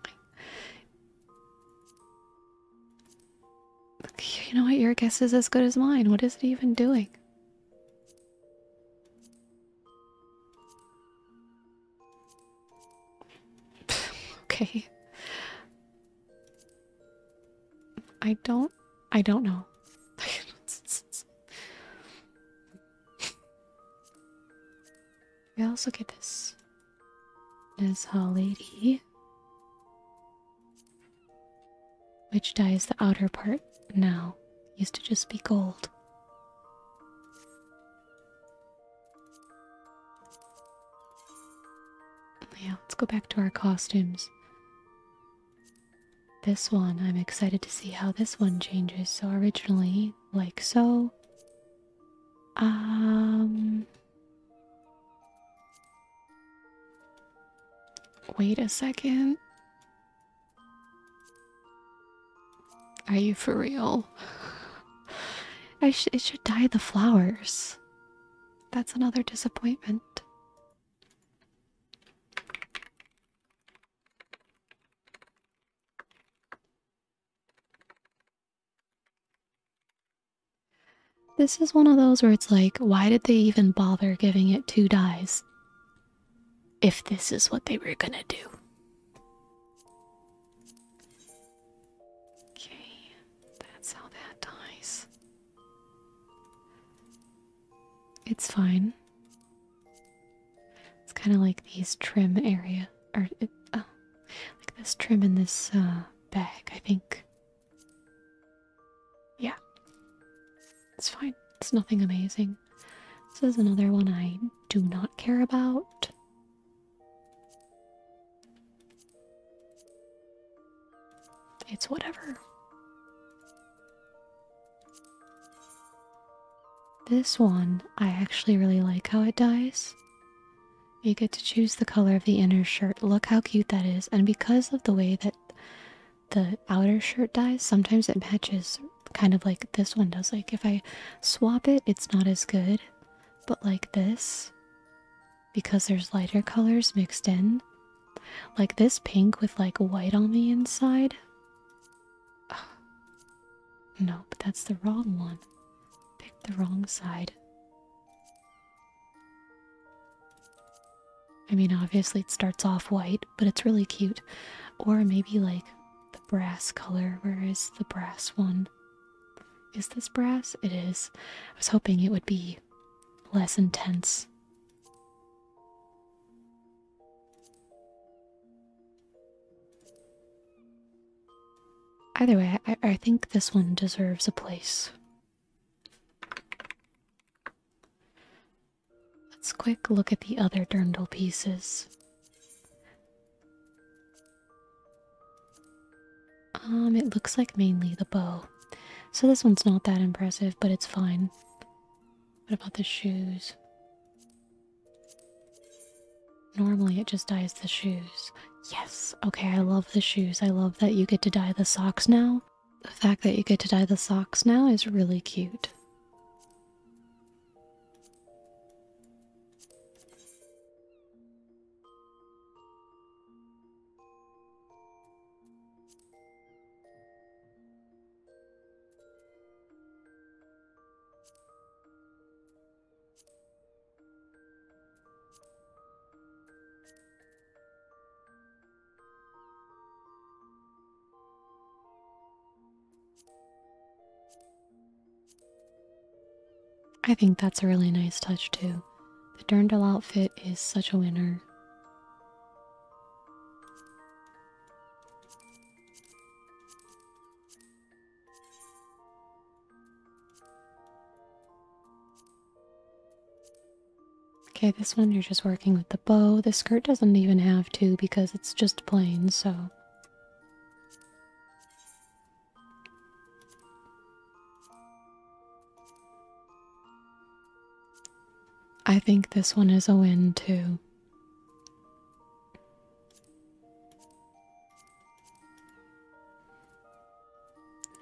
You know what? Your guess is as good as mine. What is it even doing? okay. I don't. I don't know. we also get this. This holiday which dyes the outer part now, used to just be gold. Yeah, let's go back to our costumes. This one, I'm excited to see how this one changes. So originally, like so. Um Wait a second. Are you for real? I it should dye the flowers. That's another disappointment. This is one of those where it's like, why did they even bother giving it two dies? If this is what they were gonna do. Okay, that's how that dies. It's fine. It's kind of like these trim area, or uh, like this trim in this uh, bag, I think. Yeah. It's fine. It's nothing amazing. This is another one I do not care about. It's whatever. This one, I actually really like how it dies. You get to choose the color of the inner shirt. Look how cute that is. And because of the way that the outer shirt dyes sometimes it matches kind of like this one does like if i swap it it's not as good but like this because there's lighter colors mixed in like this pink with like white on the inside Ugh. no but that's the wrong one Pick the wrong side I mean, obviously, it starts off white, but it's really cute. Or maybe like the brass color. Where is the brass one? Is this brass? It is. I was hoping it would be less intense. Either way, I, I think this one deserves a place. Let's quick look at the other dirndl pieces. Um, it looks like mainly the bow. So this one's not that impressive, but it's fine. What about the shoes? Normally it just dyes the shoes. Yes, okay, I love the shoes. I love that you get to dye the socks now. The fact that you get to dye the socks now is really cute. I think that's a really nice touch too. The dirndl outfit is such a winner. Okay, this one you're just working with the bow. The skirt doesn't even have to because it's just plain, so. I think this one is a win too.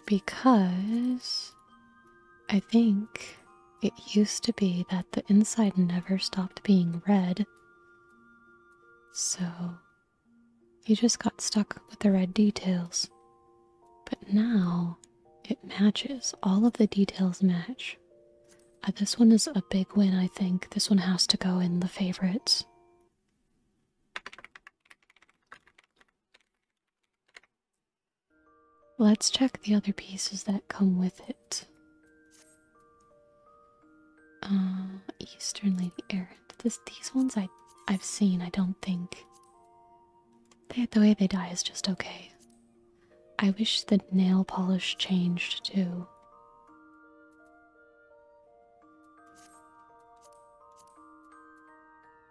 Because I think it used to be that the inside never stopped being red, so you just got stuck with the red details. But now it matches, all of the details match. Uh, this one is a big win, I think. This one has to go in the favorites. Let's check the other pieces that come with it. Uh, Eastern Lady Errant. these ones I, have seen, I don't think. the way they die is just okay. I wish the nail polish changed too.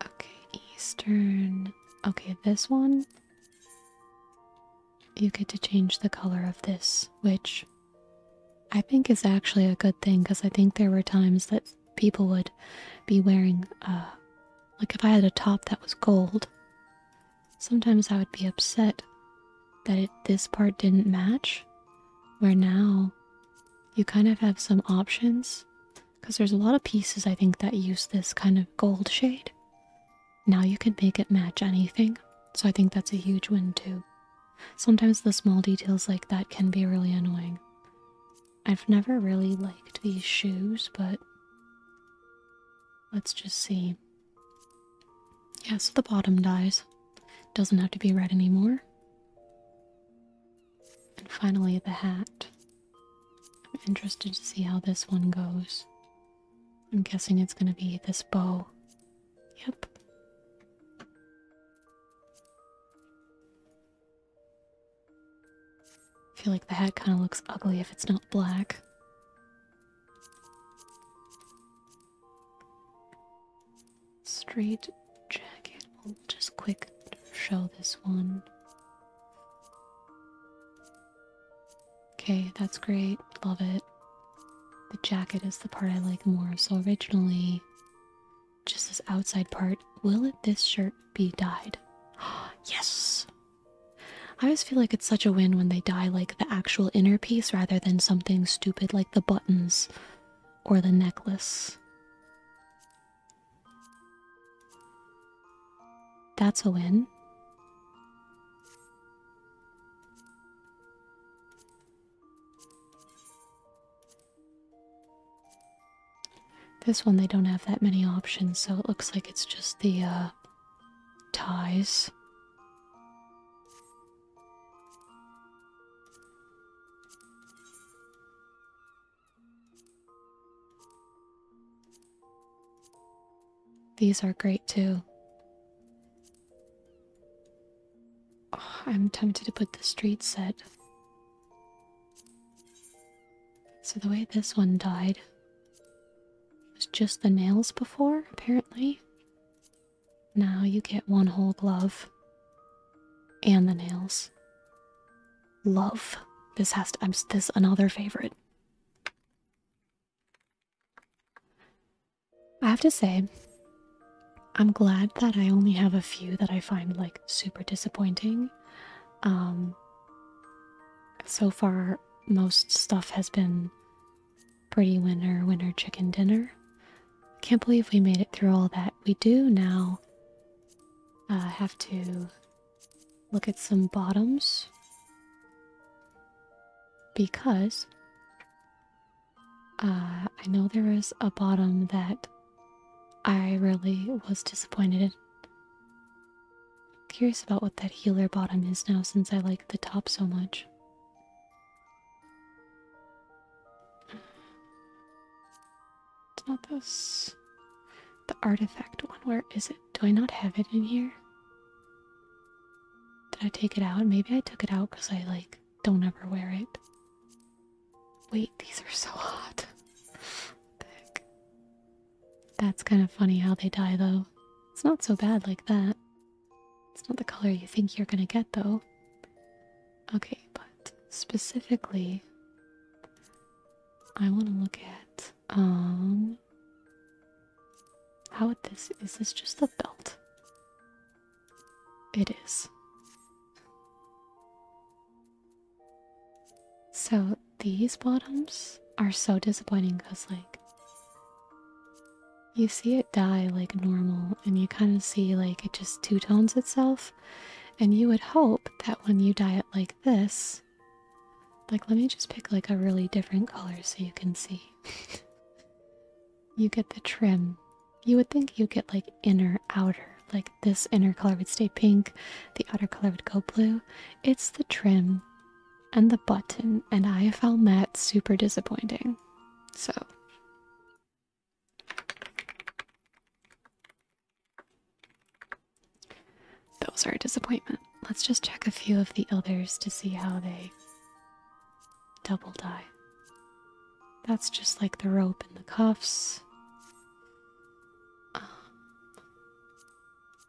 Okay, Eastern. Okay, this one you get to change the color of this, which I think is actually a good thing because I think there were times that people would be wearing, uh, like if I had a top that was gold, sometimes I would be upset that this part didn't match, where now you kind of have some options because there's a lot of pieces I think that use this kind of gold shade. Now you can make it match anything, so I think that's a huge win too. Sometimes the small details like that can be really annoying. I've never really liked these shoes, but let's just see. Yes, the bottom dies. Doesn't have to be red anymore. And finally, the hat. I'm interested to see how this one goes. I'm guessing it's going to be this bow. Yep. feel like the hat kind of looks ugly if it's not black. Straight jacket. just quick show this one. Okay, that's great. Love it. The jacket is the part I like more. So originally, just this outside part. Will this shirt be dyed? yes! I always feel like it's such a win when they dye like the actual inner piece rather than something stupid like the buttons or the necklace. That's a win. This one, they don't have that many options, so it looks like it's just the uh, ties. These are great too. Oh, I'm tempted to put the street set. So, the way this one died was just the nails before, apparently. Now you get one whole glove and the nails. Love. This has to, I'm this another favorite. I have to say, I'm glad that I only have a few that I find like super disappointing. Um, so far, most stuff has been pretty winter, winter chicken dinner. Can't believe we made it through all that. We do now uh, have to look at some bottoms because uh, I know there was a bottom that I really was disappointed Curious about what that healer bottom is now since I like the top so much. It's not this. The artifact one. Where is it? Do I not have it in here? Did I take it out? Maybe I took it out because I like don't ever wear it. Wait, these are so hot. what That's kind of funny how they die though. It's not so bad like that. It's not the color you think you're gonna get though. Okay, but specifically, I want to look at um how would this is this just the belt? It is. So these bottoms are so disappointing because like you see it die like normal and you kind of see like it just two tones itself and you would hope that when you dye it like this like, let me just pick like a really different color so you can see. you get the trim. You would think you get like inner, outer. Like, this inner color would stay pink, the outer color would go blue. It's the trim and the button, and I found that super disappointing. So. Those are a disappointment. Let's just check a few of the others to see how they double die. That's just like the rope and the cuffs. Um,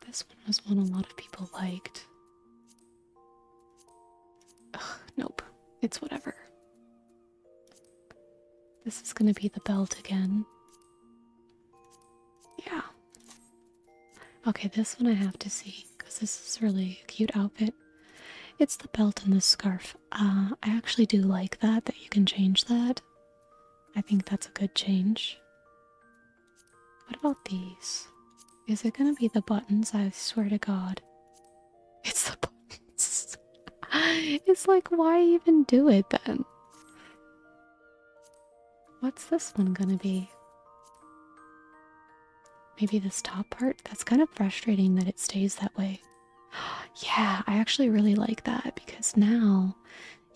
this one was one a lot of people liked. nope. It's whatever. This is gonna be the belt again. Yeah. Okay, this one I have to see because this is really a cute outfit. It's the belt and the scarf. Uh, I actually do like that, that you can change that. I think that's a good change. What about these? Is it gonna be the buttons? I swear to God. It's the buttons. it's like, why even do it then? What's this one gonna be? Maybe this top part? That's kind of frustrating that it stays that way. yeah, I actually really like that because now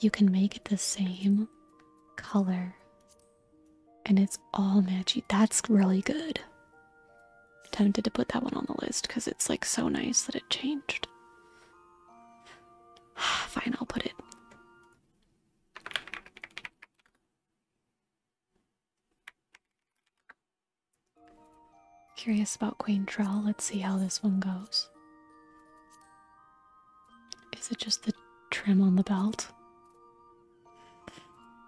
you can make it the same color and it's all matchy. That's really good. tempted to put that one on the list because it's like so nice that it changed. Fine, I'll put it. Curious about Queen Trell. Let's see how this one goes. Is it just the trim on the belt?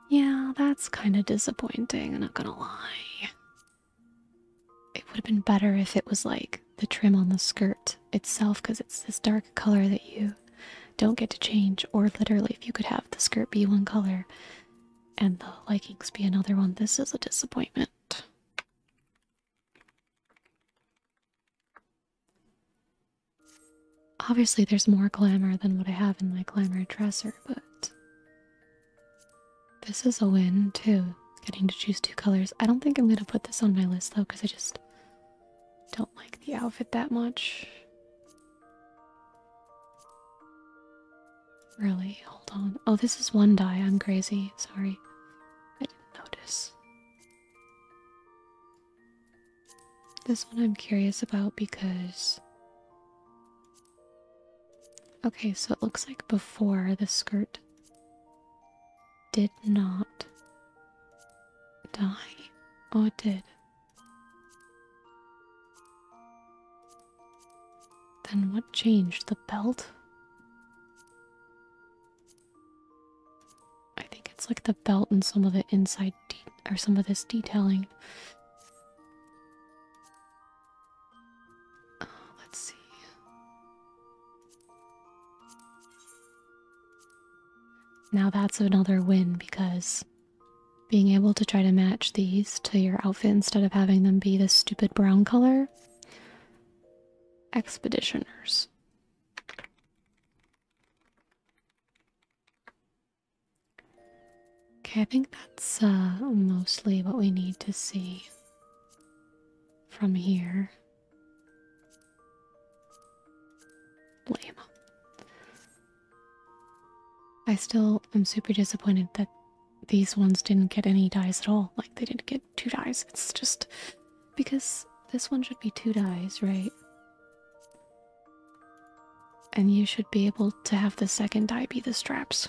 Yeah, that's kind of disappointing, I'm not gonna lie. It would have been better if it was like the trim on the skirt itself because it's this dark color that you don't get to change, or literally, if you could have the skirt be one color and the leggings be another one, this is a disappointment. Obviously, there's more glamour than what I have in my glamour dresser, but this is a win too. Getting to choose two colors. I don't think I'm gonna put this on my list though, because I just don't like the outfit that much. Really? Hold on. Oh, this is one die. I'm crazy. Sorry. I didn't notice. This one I'm curious about because. Okay, so it looks like before the skirt did not die, or did? Then what changed? The belt? I think it's like the belt and some of the inside or some of this detailing. Uh, let's see. Now that's another win because being able to try to match these to your outfit instead of having them be this stupid brown color. Expeditioners. Okay, I think that's uh, mostly what we need to see from here. Lame. I still am super disappointed that these ones didn't get any dies at all. Like, they didn't get two dies. It's just because this one should be two dies, right? And you should be able to have the second die be the straps.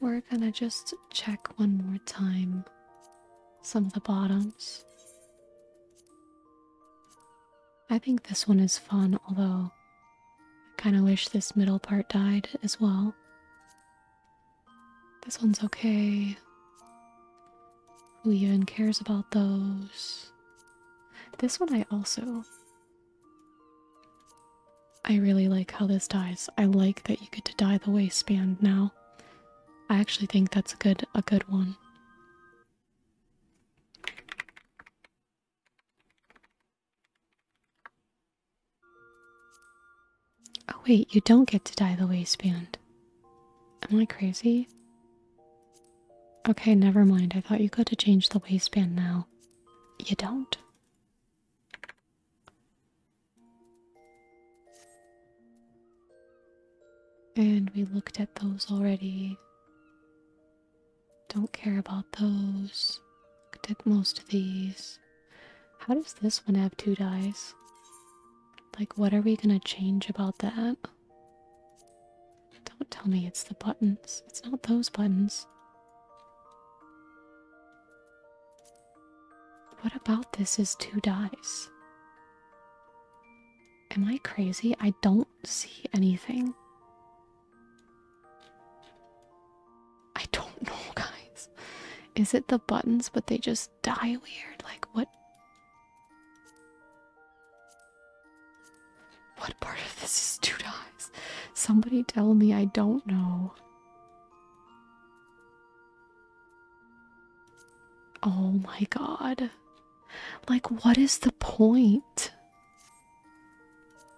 We're gonna just check one more time some of the bottoms. I think this one is fun, although I kind of wish this middle part died as well. This one's okay. Who even cares about those? This one I also. I really like how this dies. I like that you get to dye the waistband now I actually think that's a good a good one. Oh wait, you don't get to dye the waistband. Am I crazy? Okay, never mind. I thought you got to change the waistband now. You don't. And we looked at those already. Don't care about those. Looked at most of these. How does this one have two dies? Like, what are we gonna change about that? Don't tell me it's the buttons. It's not those buttons. What about this is two dies? Am I crazy? I don't see anything. I don't know, guys. Is it the buttons, but they just die weird? Like, what? What part of this is two dies? Somebody tell me I don't know. Oh my god. Like, what is the point?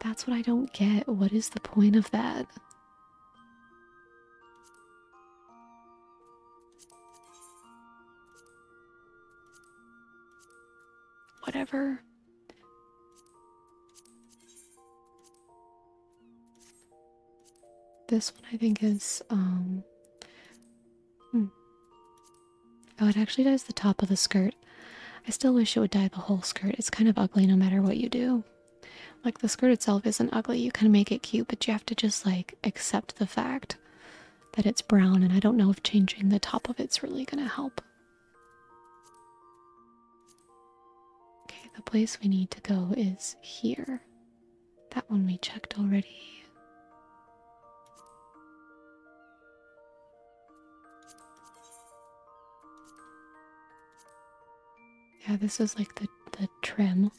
That's what I don't get. What is the point of that? Whatever. This one I think is um, hmm. Oh, it actually dyes the top of the skirt. I still wish it would dye the whole skirt. It's kind of ugly no matter what you do. Like the skirt itself isn't ugly. You can make it cute, but you have to just like accept the fact that it's brown and I don't know if changing the top of it's really going to help. Okay, the place we need to go is here. That one we checked already. Yeah, this is like the the trim.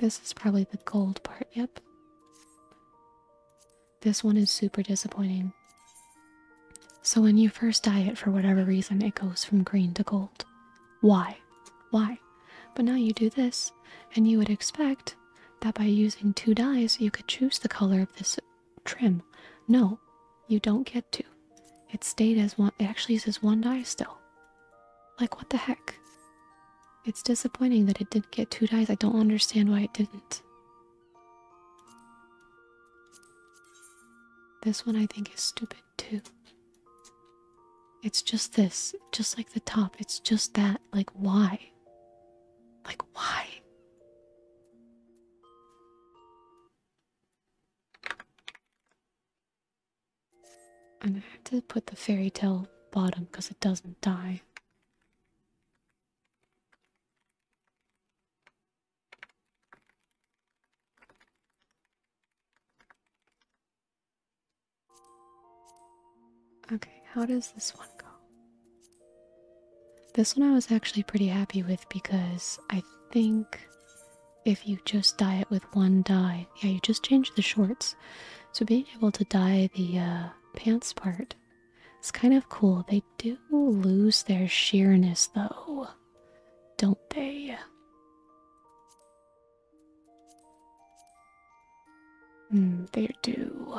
This is probably the gold part, yep. This one is super disappointing. So when you first dye it for whatever reason, it goes from green to gold. Why? Why? But now you do this, and you would expect that by using two dyes you could choose the color of this trim. No, you don't get to. It stayed as one, it actually uses one dye still. Like, what the heck? It's disappointing that it didn't get two dyes. I don't understand why it didn't. This one I think is stupid too. It's just this, just like the top. It's just that. Like, why? Like, why? I'm gonna have to put the fairy tale bottom because it doesn't die. Okay, how does this one go? This one I was actually pretty happy with because I think if you just dye it with one dye, yeah, you just change the shorts. So being able to dye the uh, pants part is kind of cool. They do lose their sheerness though, don't they? Mm, they do.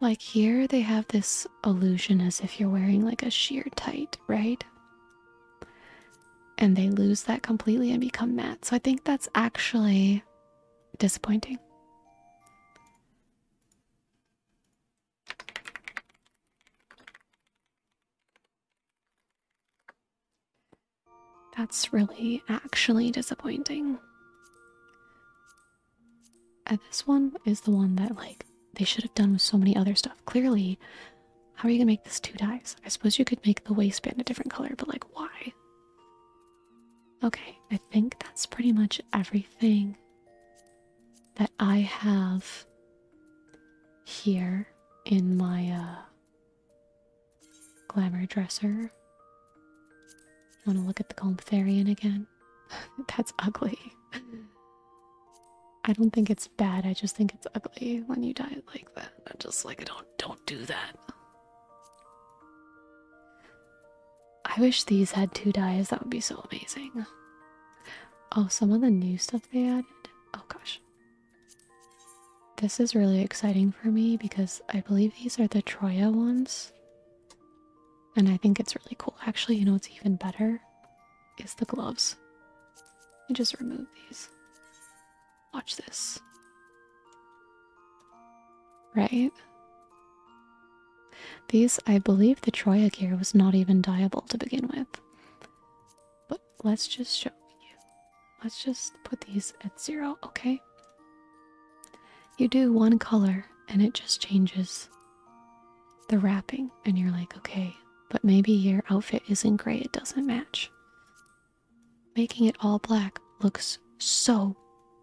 Like here, they have this illusion as if you're wearing like a sheer tight, right? And they lose that completely and become matte. So I think that's actually disappointing. That's really actually disappointing. And uh, this one is the one that, like, they should have done with so many other stuff. Clearly, how are you gonna make this two dies? I suppose you could make the waistband a different color, but, like, why? Okay, I think that's pretty much everything that I have here in my uh, glamour dresser. Want to look at the gold Golmtharian again? That's ugly. I don't think it's bad. I just think it's ugly when you die like that. i just like, don't, don't do that. I wish these had two dies. That would be so amazing. Oh, some of the new stuff they added. Oh gosh, this is really exciting for me because I believe these are the Troya ones. And I think it's really cool. Actually, you know what's even better? Is the gloves. I just remove these. Watch this. Right? These, I believe the Troya gear was not even diable to begin with let's just show you. Let's just put these at zero, okay? You do one color and it just changes the wrapping, and you're like, okay, but maybe your outfit isn't gray, it doesn't match. Making it all black looks so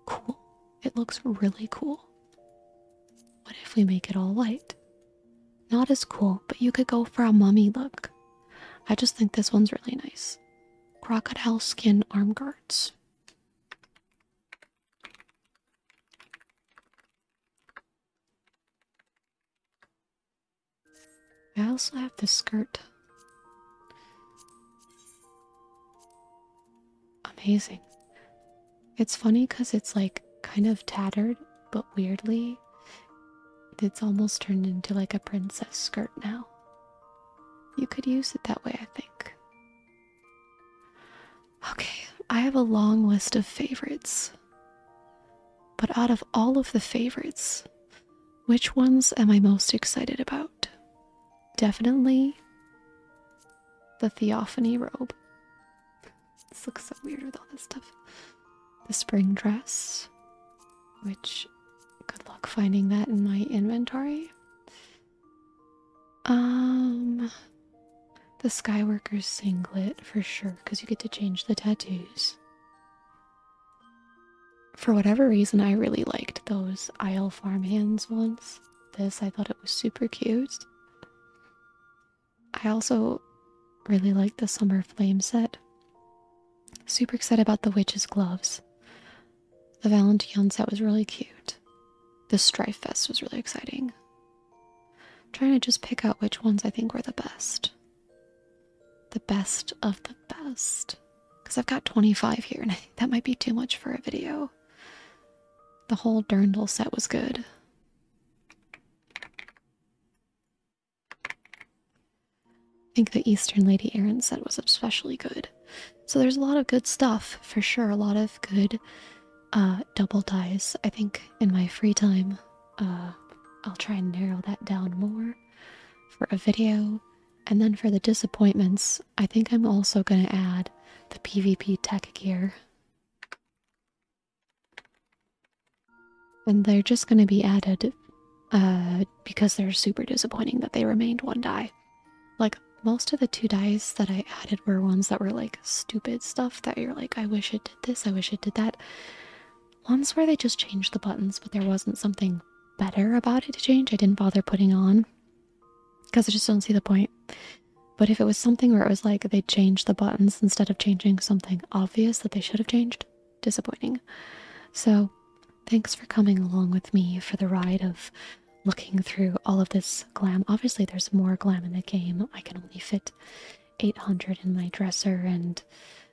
cool. It looks really cool. What if we make it all white? Not as cool, but you could go for a mummy look. I just think this one's really nice. Crocodile skin arm guards. I also have this skirt. Amazing. It's funny because it's like kind of tattered but weirdly, it's almost turned into like a princess skirt now. You could use it that way, I think. Okay, I have a long list of favorites. But out of all of the favorites, which ones am I most excited about? Definitely the Theophany robe. This looks so weird with all this stuff. The spring dress, which good luck finding that in my inventory. Um, the Skyworker singlet for sure, because you get to change the tattoos. For whatever reason, I really liked those Isle Farmhands ones. This, I thought it was super cute. I also really like the Summer Flame set. Super excited about the Witch's Gloves. The Valentine set was really cute. The Strife Fest was really exciting. trying to just pick out which ones I think were the best. The best of the best. Because I've got 25 here and I think that might be too much for a video. The whole Dirndl set was good. I think the Eastern Lady Aaron said was especially good. So there's a lot of good stuff for sure. A lot of good uh, double dies. I think in my free time, uh, I'll try and narrow that down more for a video. And then for the disappointments, I think I'm also going to add the PvP tech gear. And they're just going to be added uh, because they're super disappointing that they remained one die. Like, most of the two dies that I added were ones that were like stupid stuff that you're like, I wish it did this, I wish it did that. Ones where they just changed the buttons, but there wasn't something better about it to change. I didn't bother putting on because I just don't see the point. But if it was something where it was like they changed the buttons instead of changing something obvious that they should have changed, disappointing. So, thanks for coming along with me for the ride of looking through all of this glam. Obviously, there's more glam in the game. I can only fit 800 in my dresser, and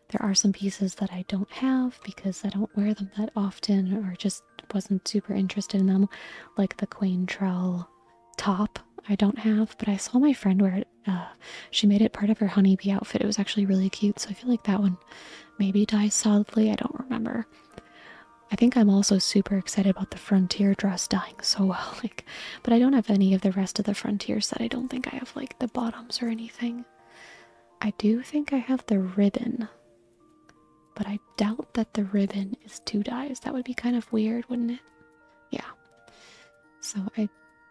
there are some pieces that I don't have because I don't wear them that often or just wasn't super interested in them, like the Queen Trowel top. I don't have, but I saw my friend wear it uh, she made it part of her honeybee outfit. It was actually really cute. So I feel like that one maybe dies solidly. I don't remember. I think I'm also super excited about the frontier dress dying so well. Like, but I don't have any of the rest of the frontier set. I don't think I have like the bottoms or anything. I do think I have the ribbon, but I doubt that the ribbon is two dyes. That would be kind of weird, wouldn't it? Yeah. So I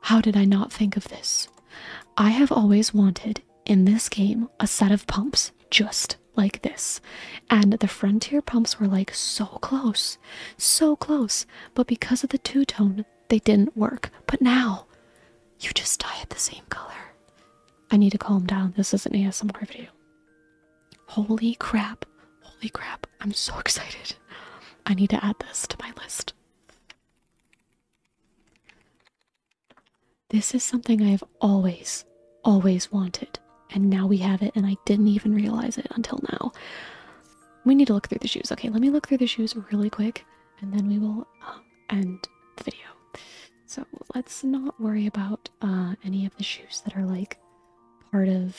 How did I not think of this? I have always wanted, in this game, a set of pumps just like this. And the Frontier pumps were like so close, so close, but because of the two tone, they didn't work. But now, you just dye it the same color. I need to calm down. This is an ASMR video. Holy crap. Holy crap. I'm so excited. I need to add this to my list. This is something I have always, always wanted, and now we have it, and I didn't even realize it until now. We need to look through the shoes. Okay, let me look through the shoes really quick, and then we will um, end the video. So let's not worry about uh, any of the shoes that are like part of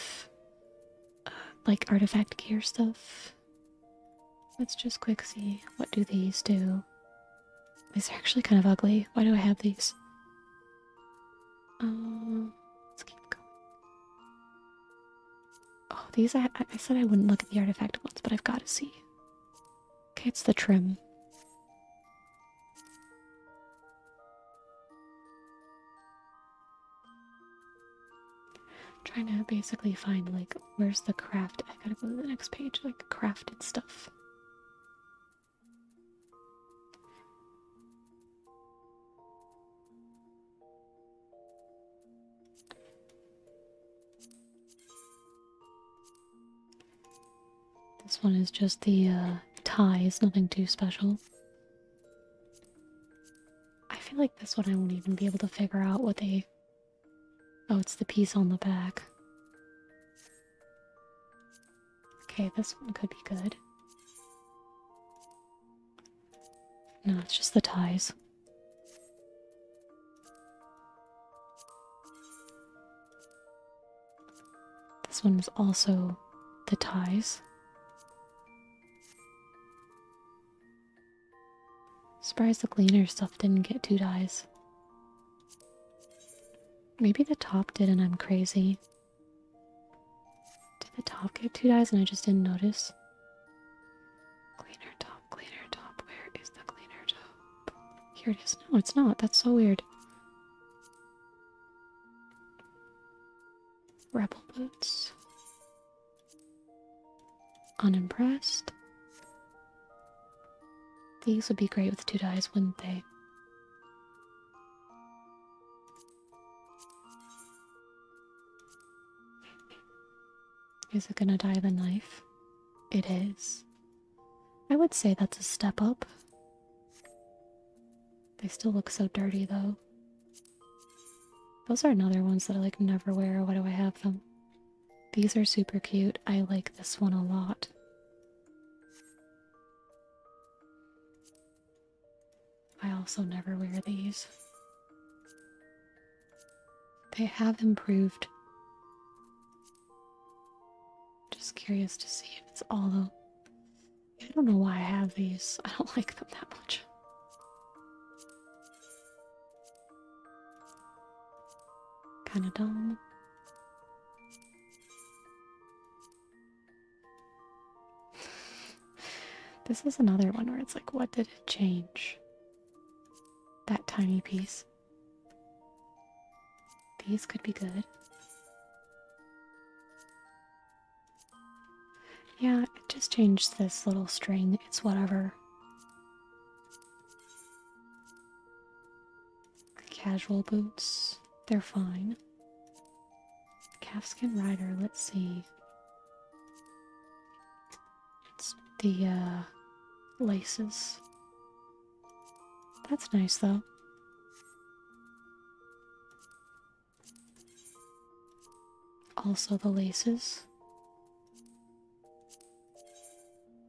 like artifact gear stuff. Let's just quick see what do these do. These are actually kind of ugly. Why do I have these? Um, let's keep going. Oh, these I I said I wouldn't look at the artifact ones, but I've got to see. Okay, it's the trim trying to basically find like where's the craft I gotta go to the next page, like crafted stuff. This one is just the uh, tie. It's nothing too special. I feel like this one I won't even be able to figure out what they. Oh, it's the piece on the back. Okay, this one could be good. No, it's just the ties. This one is also the ties. Surprise! the cleaner stuff didn't get two dies. Maybe the top did and I'm crazy. Did the top get two dies, and I just didn't notice? Cleaner top, cleaner top, where is the cleaner top? Here it is. No, it's not. That's so weird. Rebel boots. Unimpressed. These would be great with two dies, wouldn't they? Is it gonna die the knife? It is. I would say that's a step up. They still look so dirty though. Those are another ones that I like never wear. Why do I have them? These are super cute. I like this one a lot. I also never wear these. They have improved. Just curious to see if it's all though. I don't know why I have these. I don't like them that much. Kind of dumb. this is another one where it's like, what did it change? That tiny piece. These could be good. Yeah, it just changed this little string. It's whatever. Casual boots, they're fine. Calfskin rider, let's see. It's the uh, laces. That's nice though. Also the laces.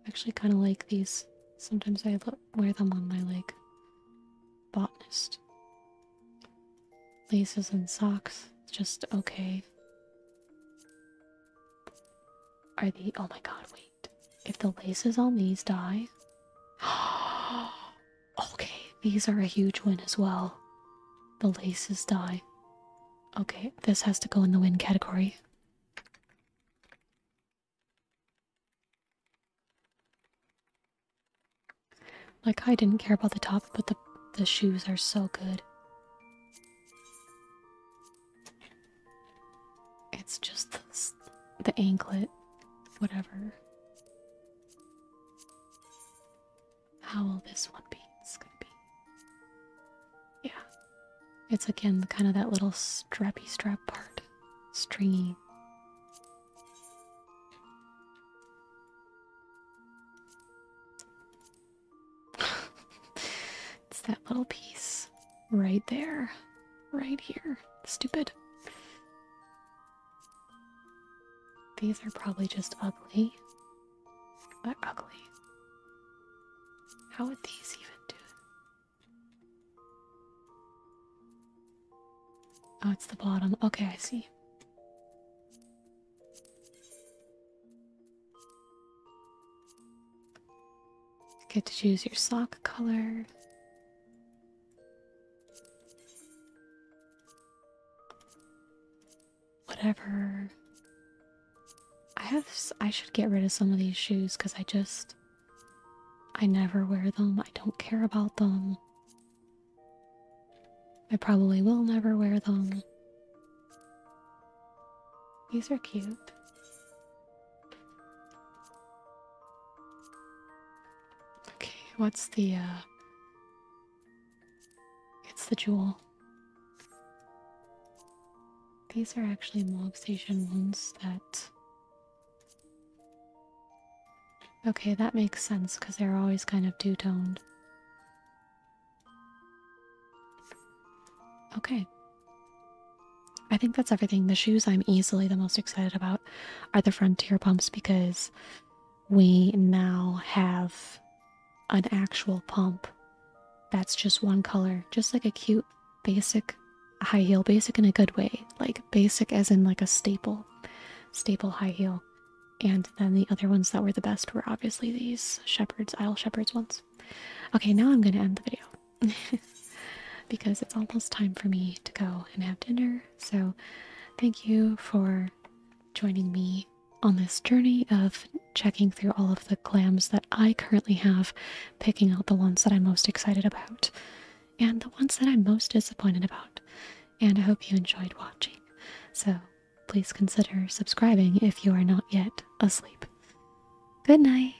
Actually kind of like these. Sometimes I wear them on my leg. Botanist. Laces and socks, just okay. Are the- oh my god, wait. If the laces on these die... okay, these are a huge win as well. The laces die. Okay, this has to go in the win category. Like, I didn't care about the top, but the, the shoes are so good. It's just this, the anklet, whatever how will this one be? It's gonna be. Yeah. It's again kind of that little strappy strap part. Stringy. it's that little piece right there. Right here. Stupid. These are probably just ugly. They're ugly. How would these even do? Oh, it's the bottom. Okay, I see. Get to choose your sock color whatever. I have. I should get rid of some of these shoes because I just. I never wear them. I don't care about them. I probably will never wear them. These are cute. Okay, what's the uh it's the jewel. These are actually mob station wounds that. Okay, that makes sense because they're always kind of two toned. Okay. I think that's everything. The shoes I'm easily the most excited about are the Frontier pumps because we now have an actual pump that's just one color, just like a cute basic high heel, basic in a good way, like basic as in like a staple, staple high heel. And then the other ones that were the best were obviously these Shepherd's Isle Shepherd's ones. Okay, now I'm gonna end the video because it's almost time for me to go and have dinner. So, thank you for joining me on this journey of checking through all of the glams that I currently have, picking out the ones that I'm most excited about and the ones that I'm most disappointed about. And I hope you enjoyed watching. So please consider subscribing if you are not yet asleep. Good night.